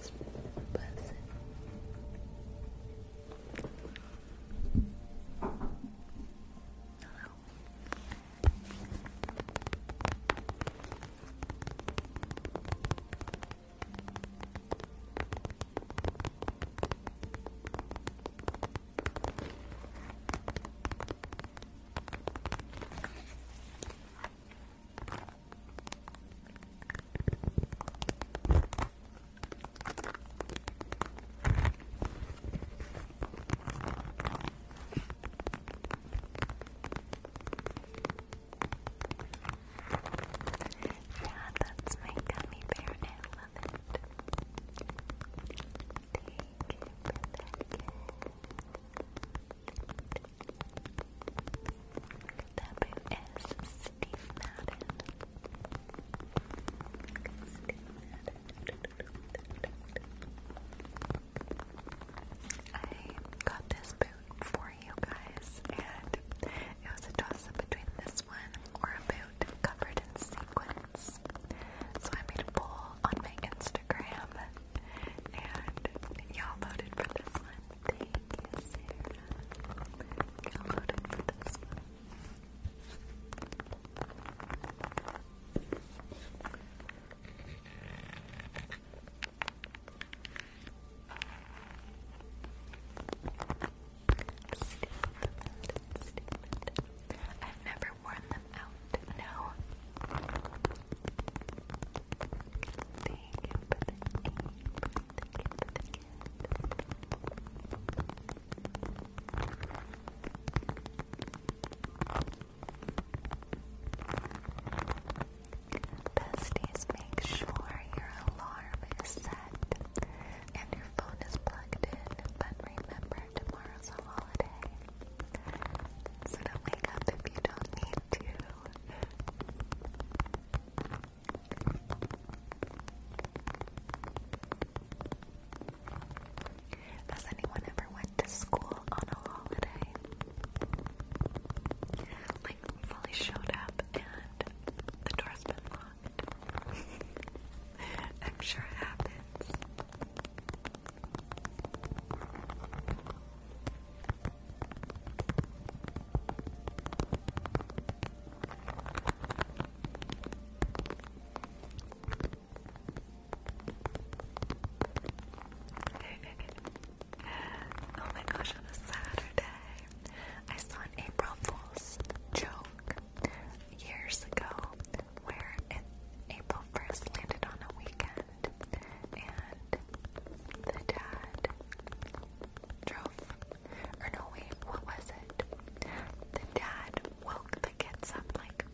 is buzzing. Yeah, that's my gummy bear and love it. That is Madden. I got this boot for you guys, and it was a toss up between this one or a boot covered in sequins. So I made a poll on my Instagram Instagram, and y'all voted for this one. Thank you, Sarah. Y'all voted for this one. Stupid, stupid. I've never worn them out Thank you Besties, make sure your alarm is set and your phone is plugged in. But remember, tomorrow's a holiday don't wake up if you don't need to. Has anyone ever went to school on a holiday? Like fully showed up and the door's been locked. I'm sure it happens. oh my gosh, on a Saturday, I saw an April Fool's joke years ago where it, April 1st landed on a weekend, and the dad drove, or no wait, what was it? The dad woke the kids up like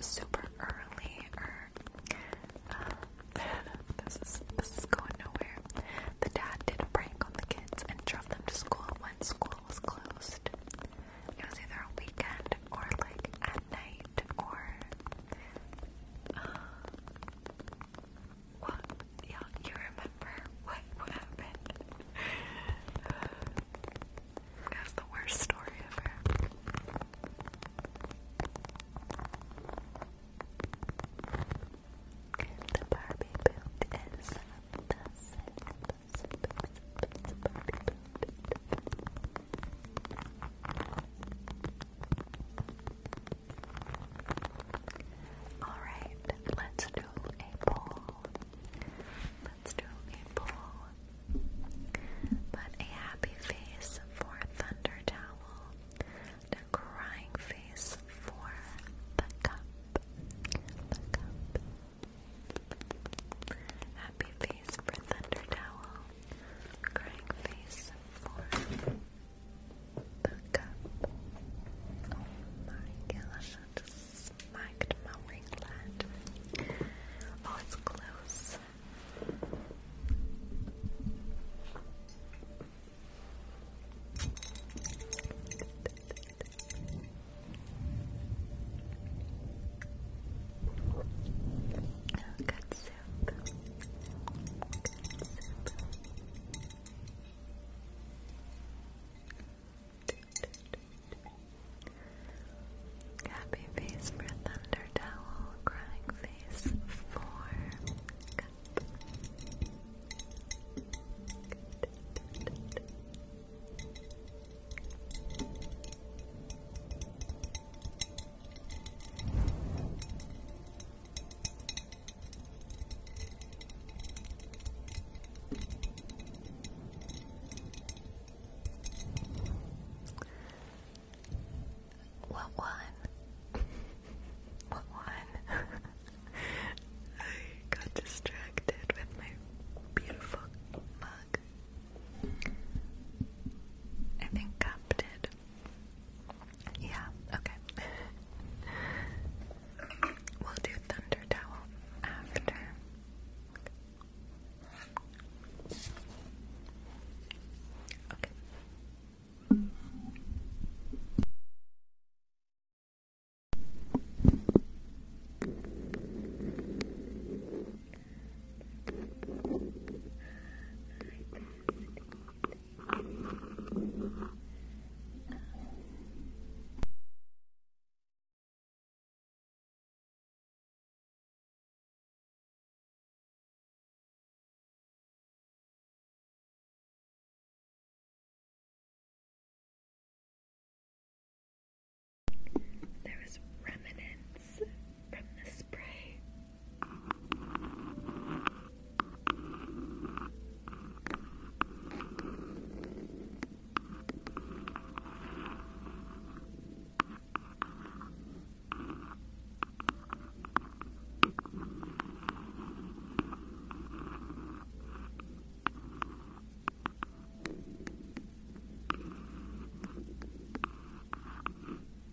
super early, or um, this is this is going nowhere. The dad did a prank on the kids and drove them to school when school was closed. It was either a weekend or like at night date or what? Uh, yeah, you remember what, what happened? That's the worst story ever. All right, let's do a poll. Let's do a poll. But a happy face for Thunder Towel, the crying face for the cup. The cup. Happy face for Thunder Towel, Crying face for the cup. Oh my gosh, I just smacked my winglet. Oh, it's close. Good soup. Happy face for thunder crying face for what one? what one? I got distracted with my beautiful mug. I think Cup did. Yeah, okay. we'll do Thunder Towel after. Okay. There was remnants from the spray.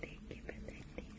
Thank you for that.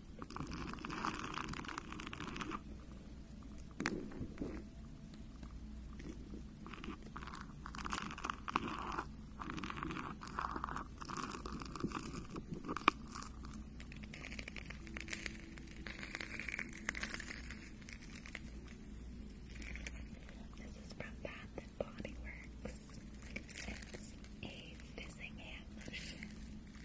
This is from Bath and Body Works. It's a fizzing hand lotion.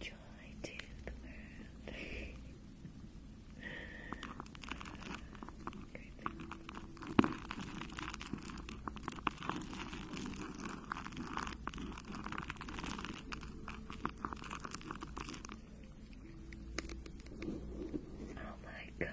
Joy to the world. Oh my gosh.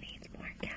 Needs more cowbell.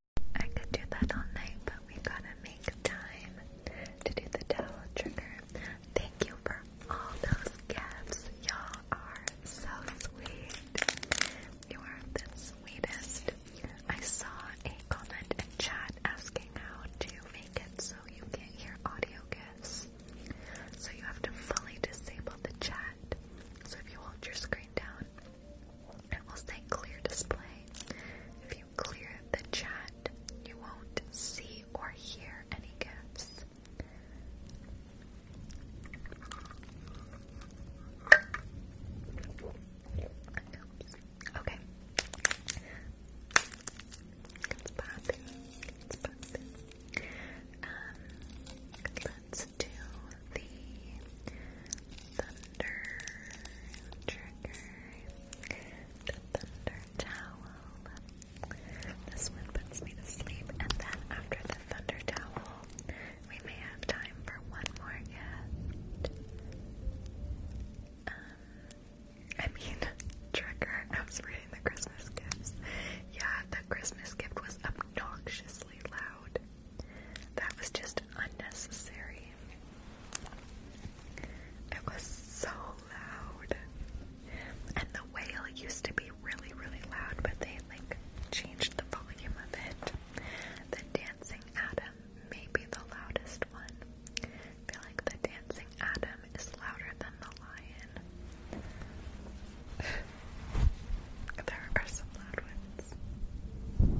I could do that all night, but we gotta make time to do the towel trigger. Thank you for all those gifts. Y'all are so sweet. You are the sweetest. I saw a comment in chat asking how to make it so you can hear audio gifts. So you have to fully disable the chat. So if you hold your screen down, it will stay clear display. If you clear the chat, you won't see or hear any gifts. Okay thunder trigger, the thunder towel. This one puts me to sleep, and then after the thunder towel, we may have time for one more gift. Um, I mean, trigger. I was reading the Christmas gifts. Yeah, the Christmas gift was obnoxiously loud. That was just unnecessary. It was so loud. And the whale used to be really, really loud, but they like changed the volume of it. The Dancing Adam may be the loudest one. I feel like the Dancing Adam is louder than the lion. there are some loud ones.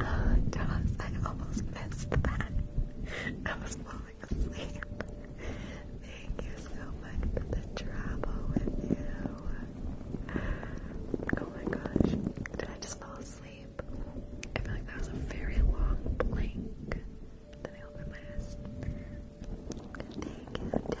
Oh, Josh, I almost missed that. I was falling asleep. Thank you so much for the travel with you. Oh my gosh. Did I just fall asleep? I feel like that was a very long blink. Then I opened my eyes. Thank you, Josh.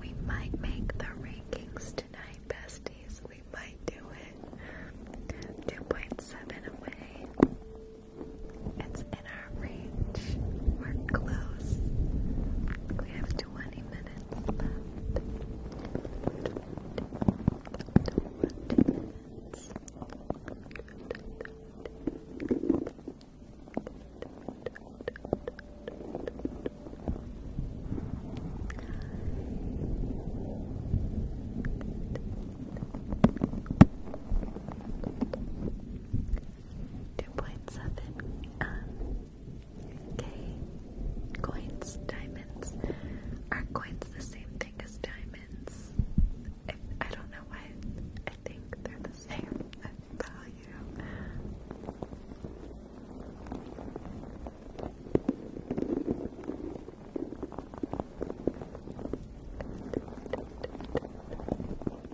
We might make the rankings tonight, besties. We might do it. 2.7 away. It's in our range. We're close. We have 20 minutes. 2.7 um, K coins, diamonds. Are coins the same thing as diamonds? I don't know why. I think they're the same value.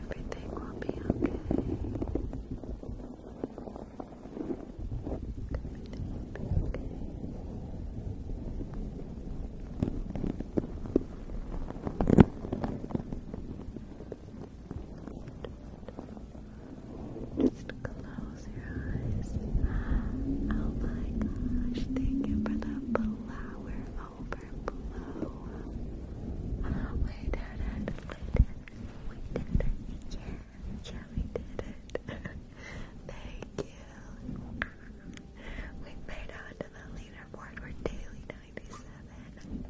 Everything will be okay. Everything will be okay. Just close your eyes. Oh my gosh, thank you for the flower over. We made it to the leaderboard. We're daily 97.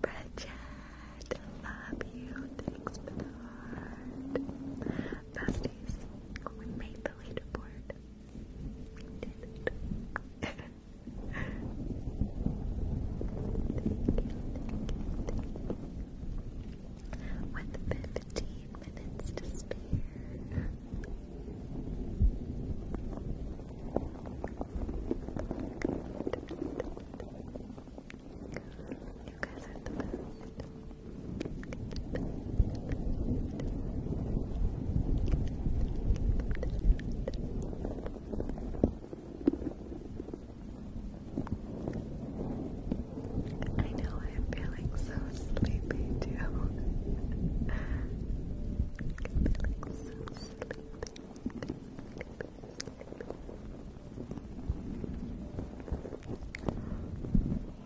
Bridget, love you. Thanks for the heart. Besties, we made the leaderboard thank you, With fifteen minutes to spare. You guys are the best. I know I'm feeling so sleepy too.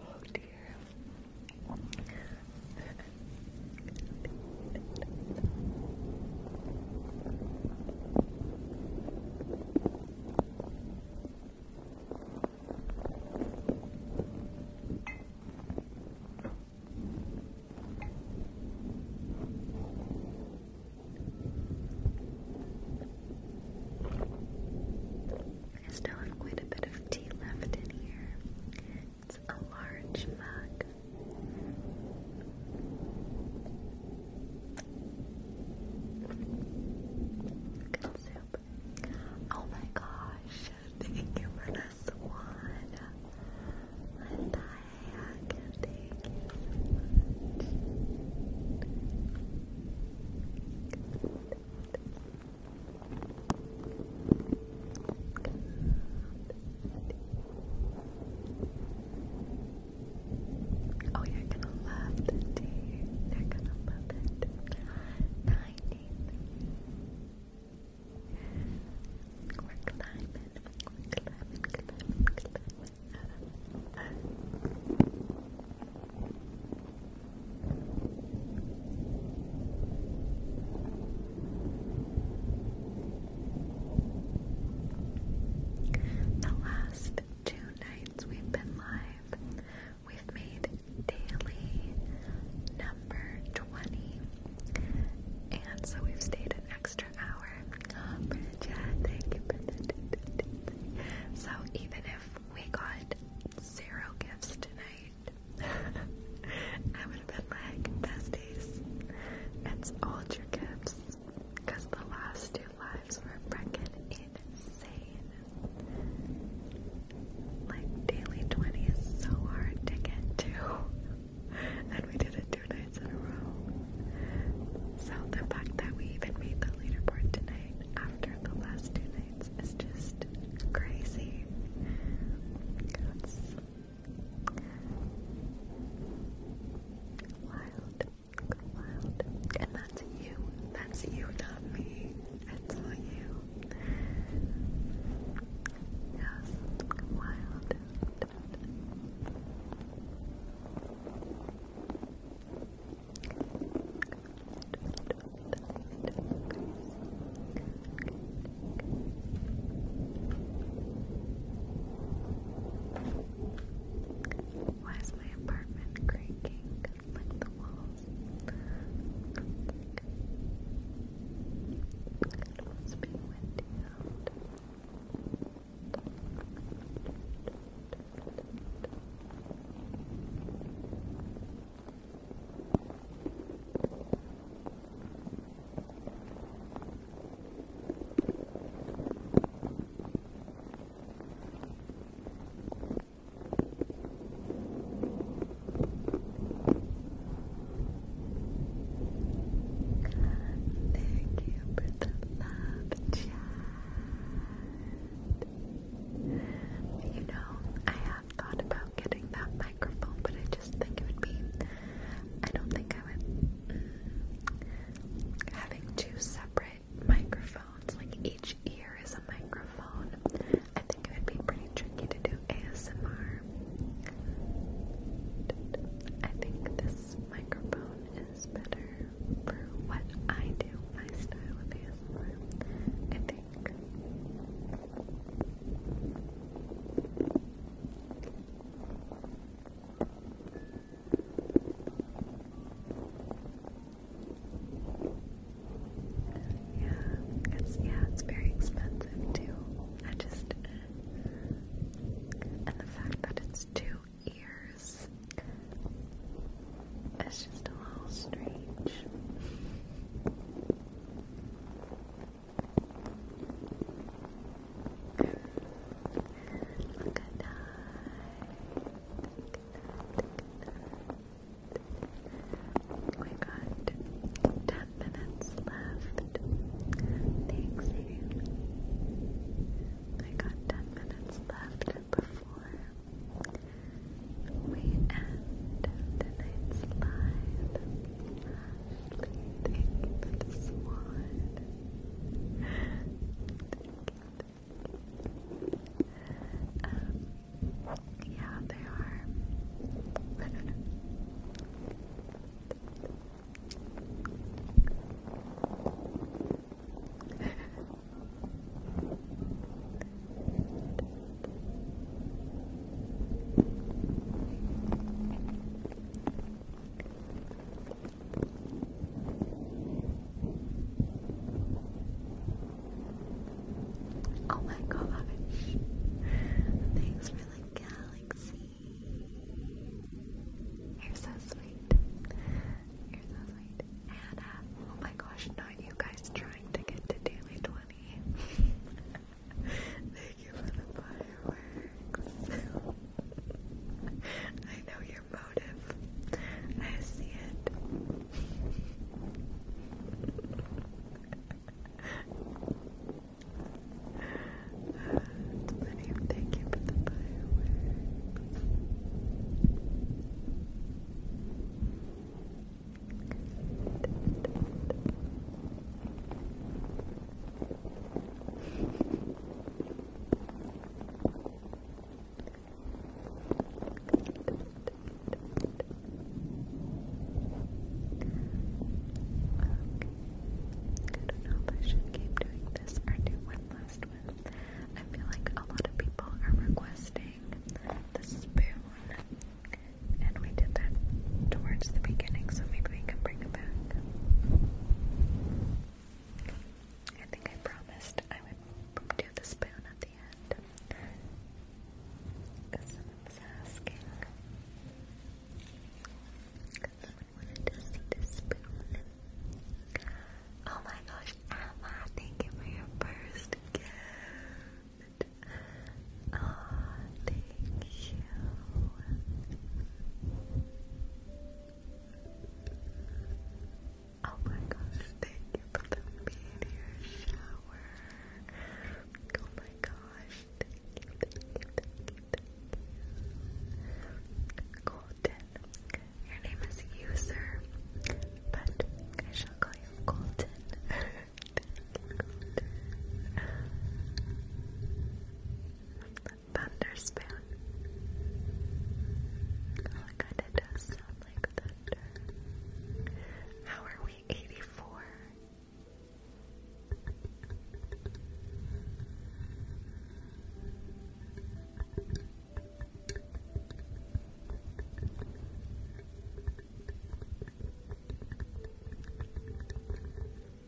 Oh dear. I still have quite a bit of tea left in here. It's a large mug. Oh my gosh, thank you for the swan. Linda Hack, thank you so much. Oh, you're gonna love the You're gonna love it. Ninety three. We're climbing. We're climbing, climbing, climbing. The last two nights we've been live, we've made daily number 20. And so we've stayed an extra hour. So even if we got zero gifts tonight, I would have been like, besties, it's all your gifts. Because the last two lives were freaking insane. Like, daily 20 is so hard to get to. and we did it two nights in a row. So the fact that we even made the leaderboard tonight after the last two nights is just crazy. That's Wild, wild. And that's you. That's you, not me. It's all you. Yes, wild why is my apartment creaking like the walls? It must be windy out. Thank you for the love You know, I have thought about getting that microphone, but I just think it would be. I don't think I would. Mm, having two separate microphones, like each ear is a microphone, I think it would be pretty tricky to do ASMR. I think this microphone is better for what I do, my style of ASMR. I think. Yeah, it's yeah, it's very expensive too. I just and the fact that it's two ears it's just a little strange. Good night. We got ten minutes left. Thanks, you. I got ten minutes left before we end tonight's live. Thank you for the yeah, they are. Oh my God! Thanks for the galaxy. You're so sweet. You're so sweet. Anna. Uh, oh my gosh, not you guys trying to get to daily 20. Thank you for the fireworks. I know your motive. I see it. thank you for the fireworks. I don't know if I should keep doing this or do one last one. I feel like a lot of people are requesting the spoon, and we did that towards the beginning, so maybe we can I think I promised I would do the spoon at the end. Someone was asking. Someone wanted to see the spoon. Oh my gosh, Emma, thank you for your first gift. Oh, thank you. Oh my gosh, thank you for the meteor shower. Oh my gosh, thank you, thank you, thank you, thank you. Golden. Your name is User, but I shall call you, Golden. Thunderspan. Oh, it kind of sound like thunder. How are we 84?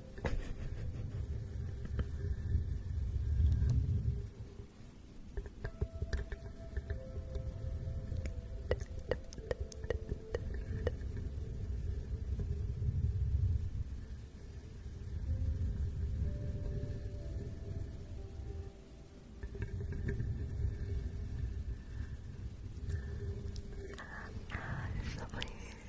Absolutely uh,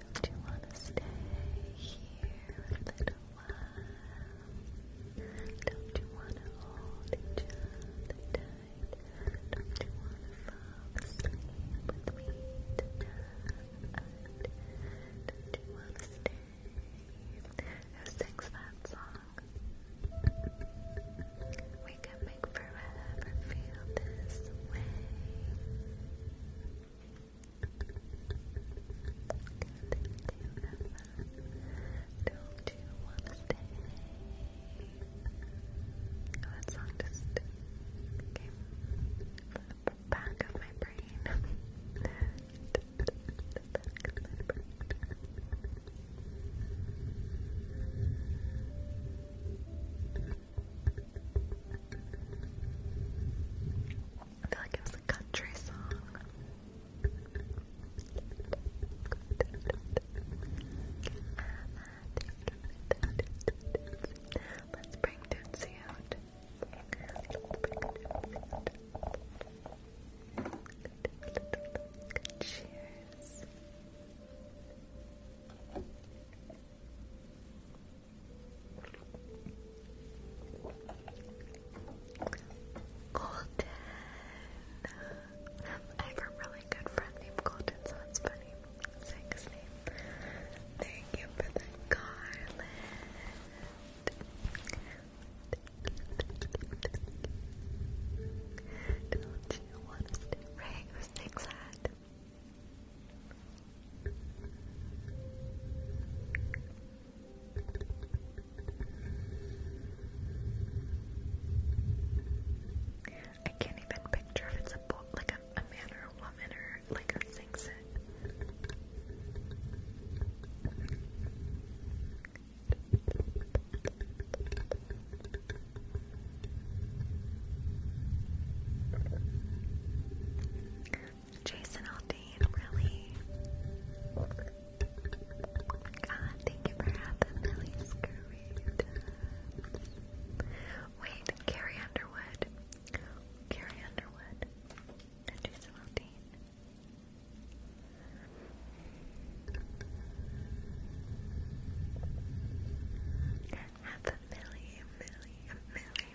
Don't you want to stay here a little while? Don't you want to hold each other tight? Don't you want to fall asleep with me tonight? Don't you want to stay? Who sings that song? We can make forever feel this way. Don't you want to stay? Oh, that song just came from the back of my brain. I feel like it was a country song. Let's bring Tootsie out. Cheers. Colton. I have a really good friend named Colton, so it's funny saying his name. Thank you for the garland. do you want to stay right? next at? I can't even picture if it's a book, like a, man or a woman or like a sings it. Jason Aldean, really? God, thank you for having Lily Wait, Carrie Underwood. Carrie Underwood. Jason Aldean. Half a million, million, million.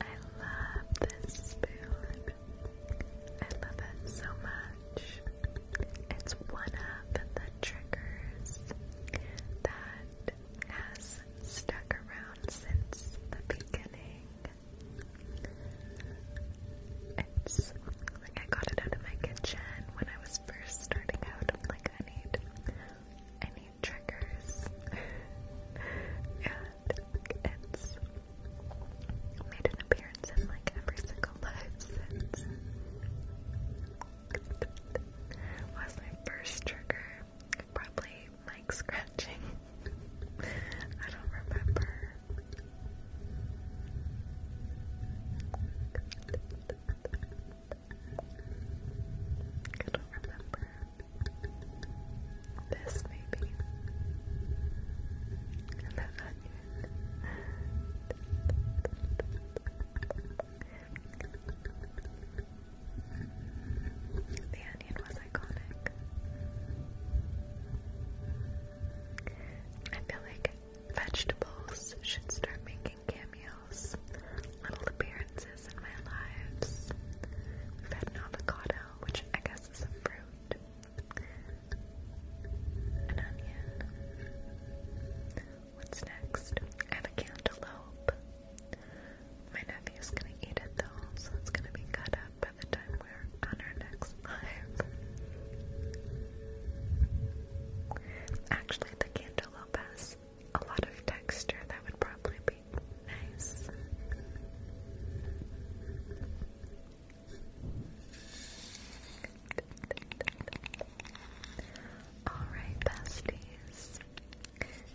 I love this spoon. I love it so much. It's one of the triggers that has stuck around since the beginning. It's like I got it out of my kitchen when I was first starting out. like, I need, I need triggers, and it's made an appearance in like every single live since. Was my first trigger probably mic scratching? I don't remember. I do remember. This maybe. And the onion. The onion was iconic. I feel like Vegetables should start making cameos, little appearances in my lives. We've had an avocado, which I guess is a fruit, an onion. What's next? I have a cantaloupe. My nephew is gonna eat it though, so it's gonna be cut up by the time we're on our next Actually, the cantaloupe has a lot of texture that would probably be nice. Alright, besties.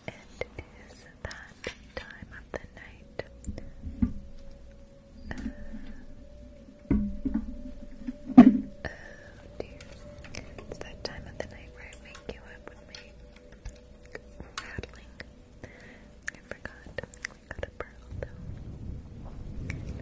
It is that time of the night Oh dear. It's that time of the night where I wake you up with my rattling. I forgot. We got a pearl though. Thank you.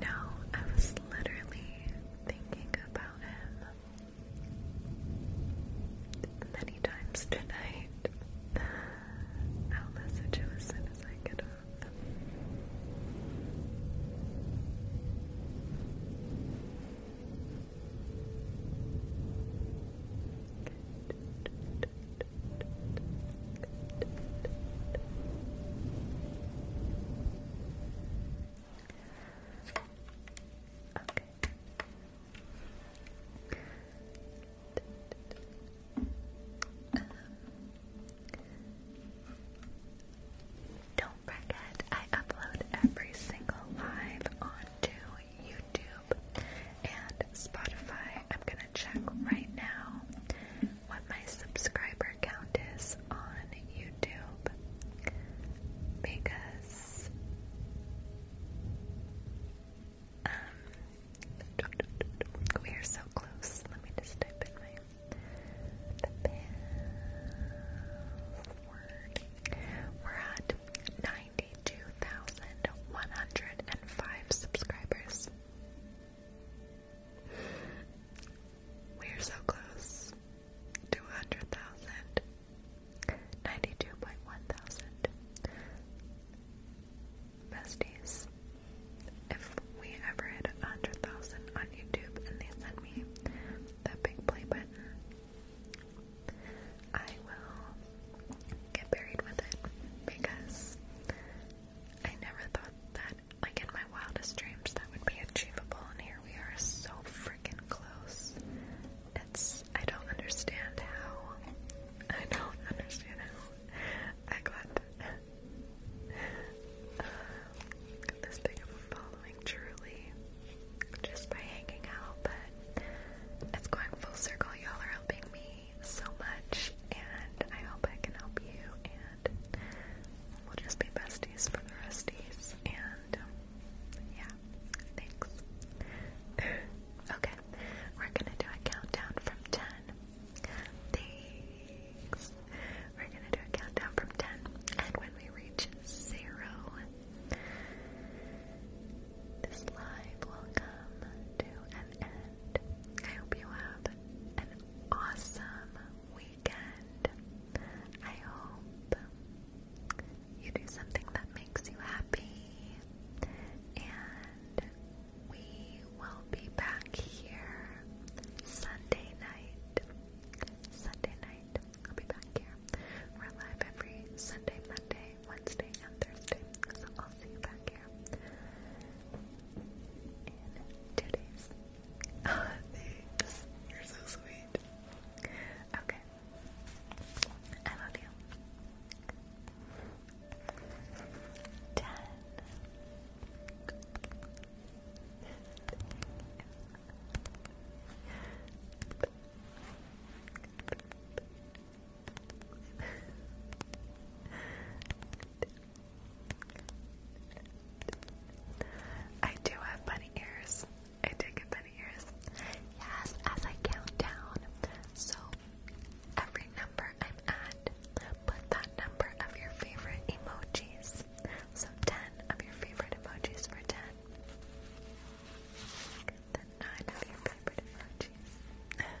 No, I was literally thinking about him many times tonight. I'll message him as soon as I get up. Um, don't forget, I upload every single live onto YouTube and Spotify. I'm gonna check right now what my subscriber count is on YouTube because um, we are so close. Let me just type in my the password. We're at 9 92,105 subscribers. We're so close to 100,000. 92.1 thousand. Besties, if we ever hit 100,000 on YouTube and they send me that big play button, I will get buried with it because I never thought that, like in my wildest dreams, that would be achievable, and here we are so freaking close. It's, I don't understand how, I don't understand how I got this big of a following truly just by hanging out, but it's going full circle. Y'all are helping me so much, and I hope I can help you, and we'll just be besties for the resties, and um, yeah, thanks. okay, we're gonna do a countdown from 10. Thanks. We're gonna do a countdown from 10, and when we reach zero, this live will come to an end. I hope you have an awesome weekend. I hope you do something that makes you happy. And we will be back here Sunday night. Sunday night. I'll be back here. We're live every Sunday, Monday, Wednesday, and Thursday. So I'll see you back here in two days. Oh, thanks. You're so sweet. Okay. I love you. Ten. Nine. I do have bunny ears. I do get bunny ears. Yes, as I count down. So every number I'm at, put that number of your favorite emojis. So 10 of your favorite emojis for 10 than nine of your favorite emojis. nine.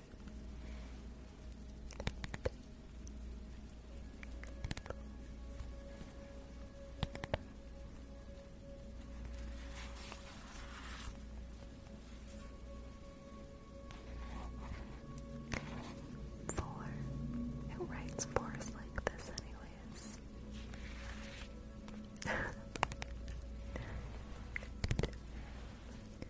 Four. Who writes fours like this, anyways?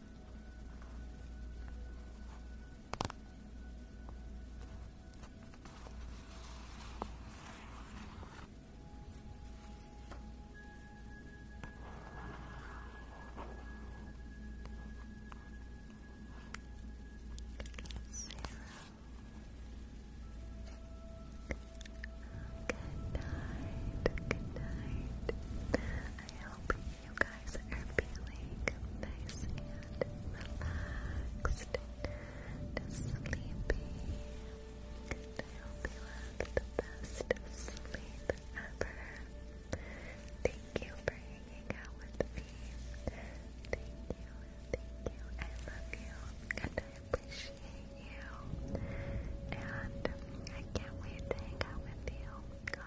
Good night. Good night. I hope you you guys are feeling nice and relaxed sleepy. And I hope you have the best sleep ever. Thank you for hanging out with me. Thank you, thank you. I love you and I appreciate you. And I can't wait to hang out with you.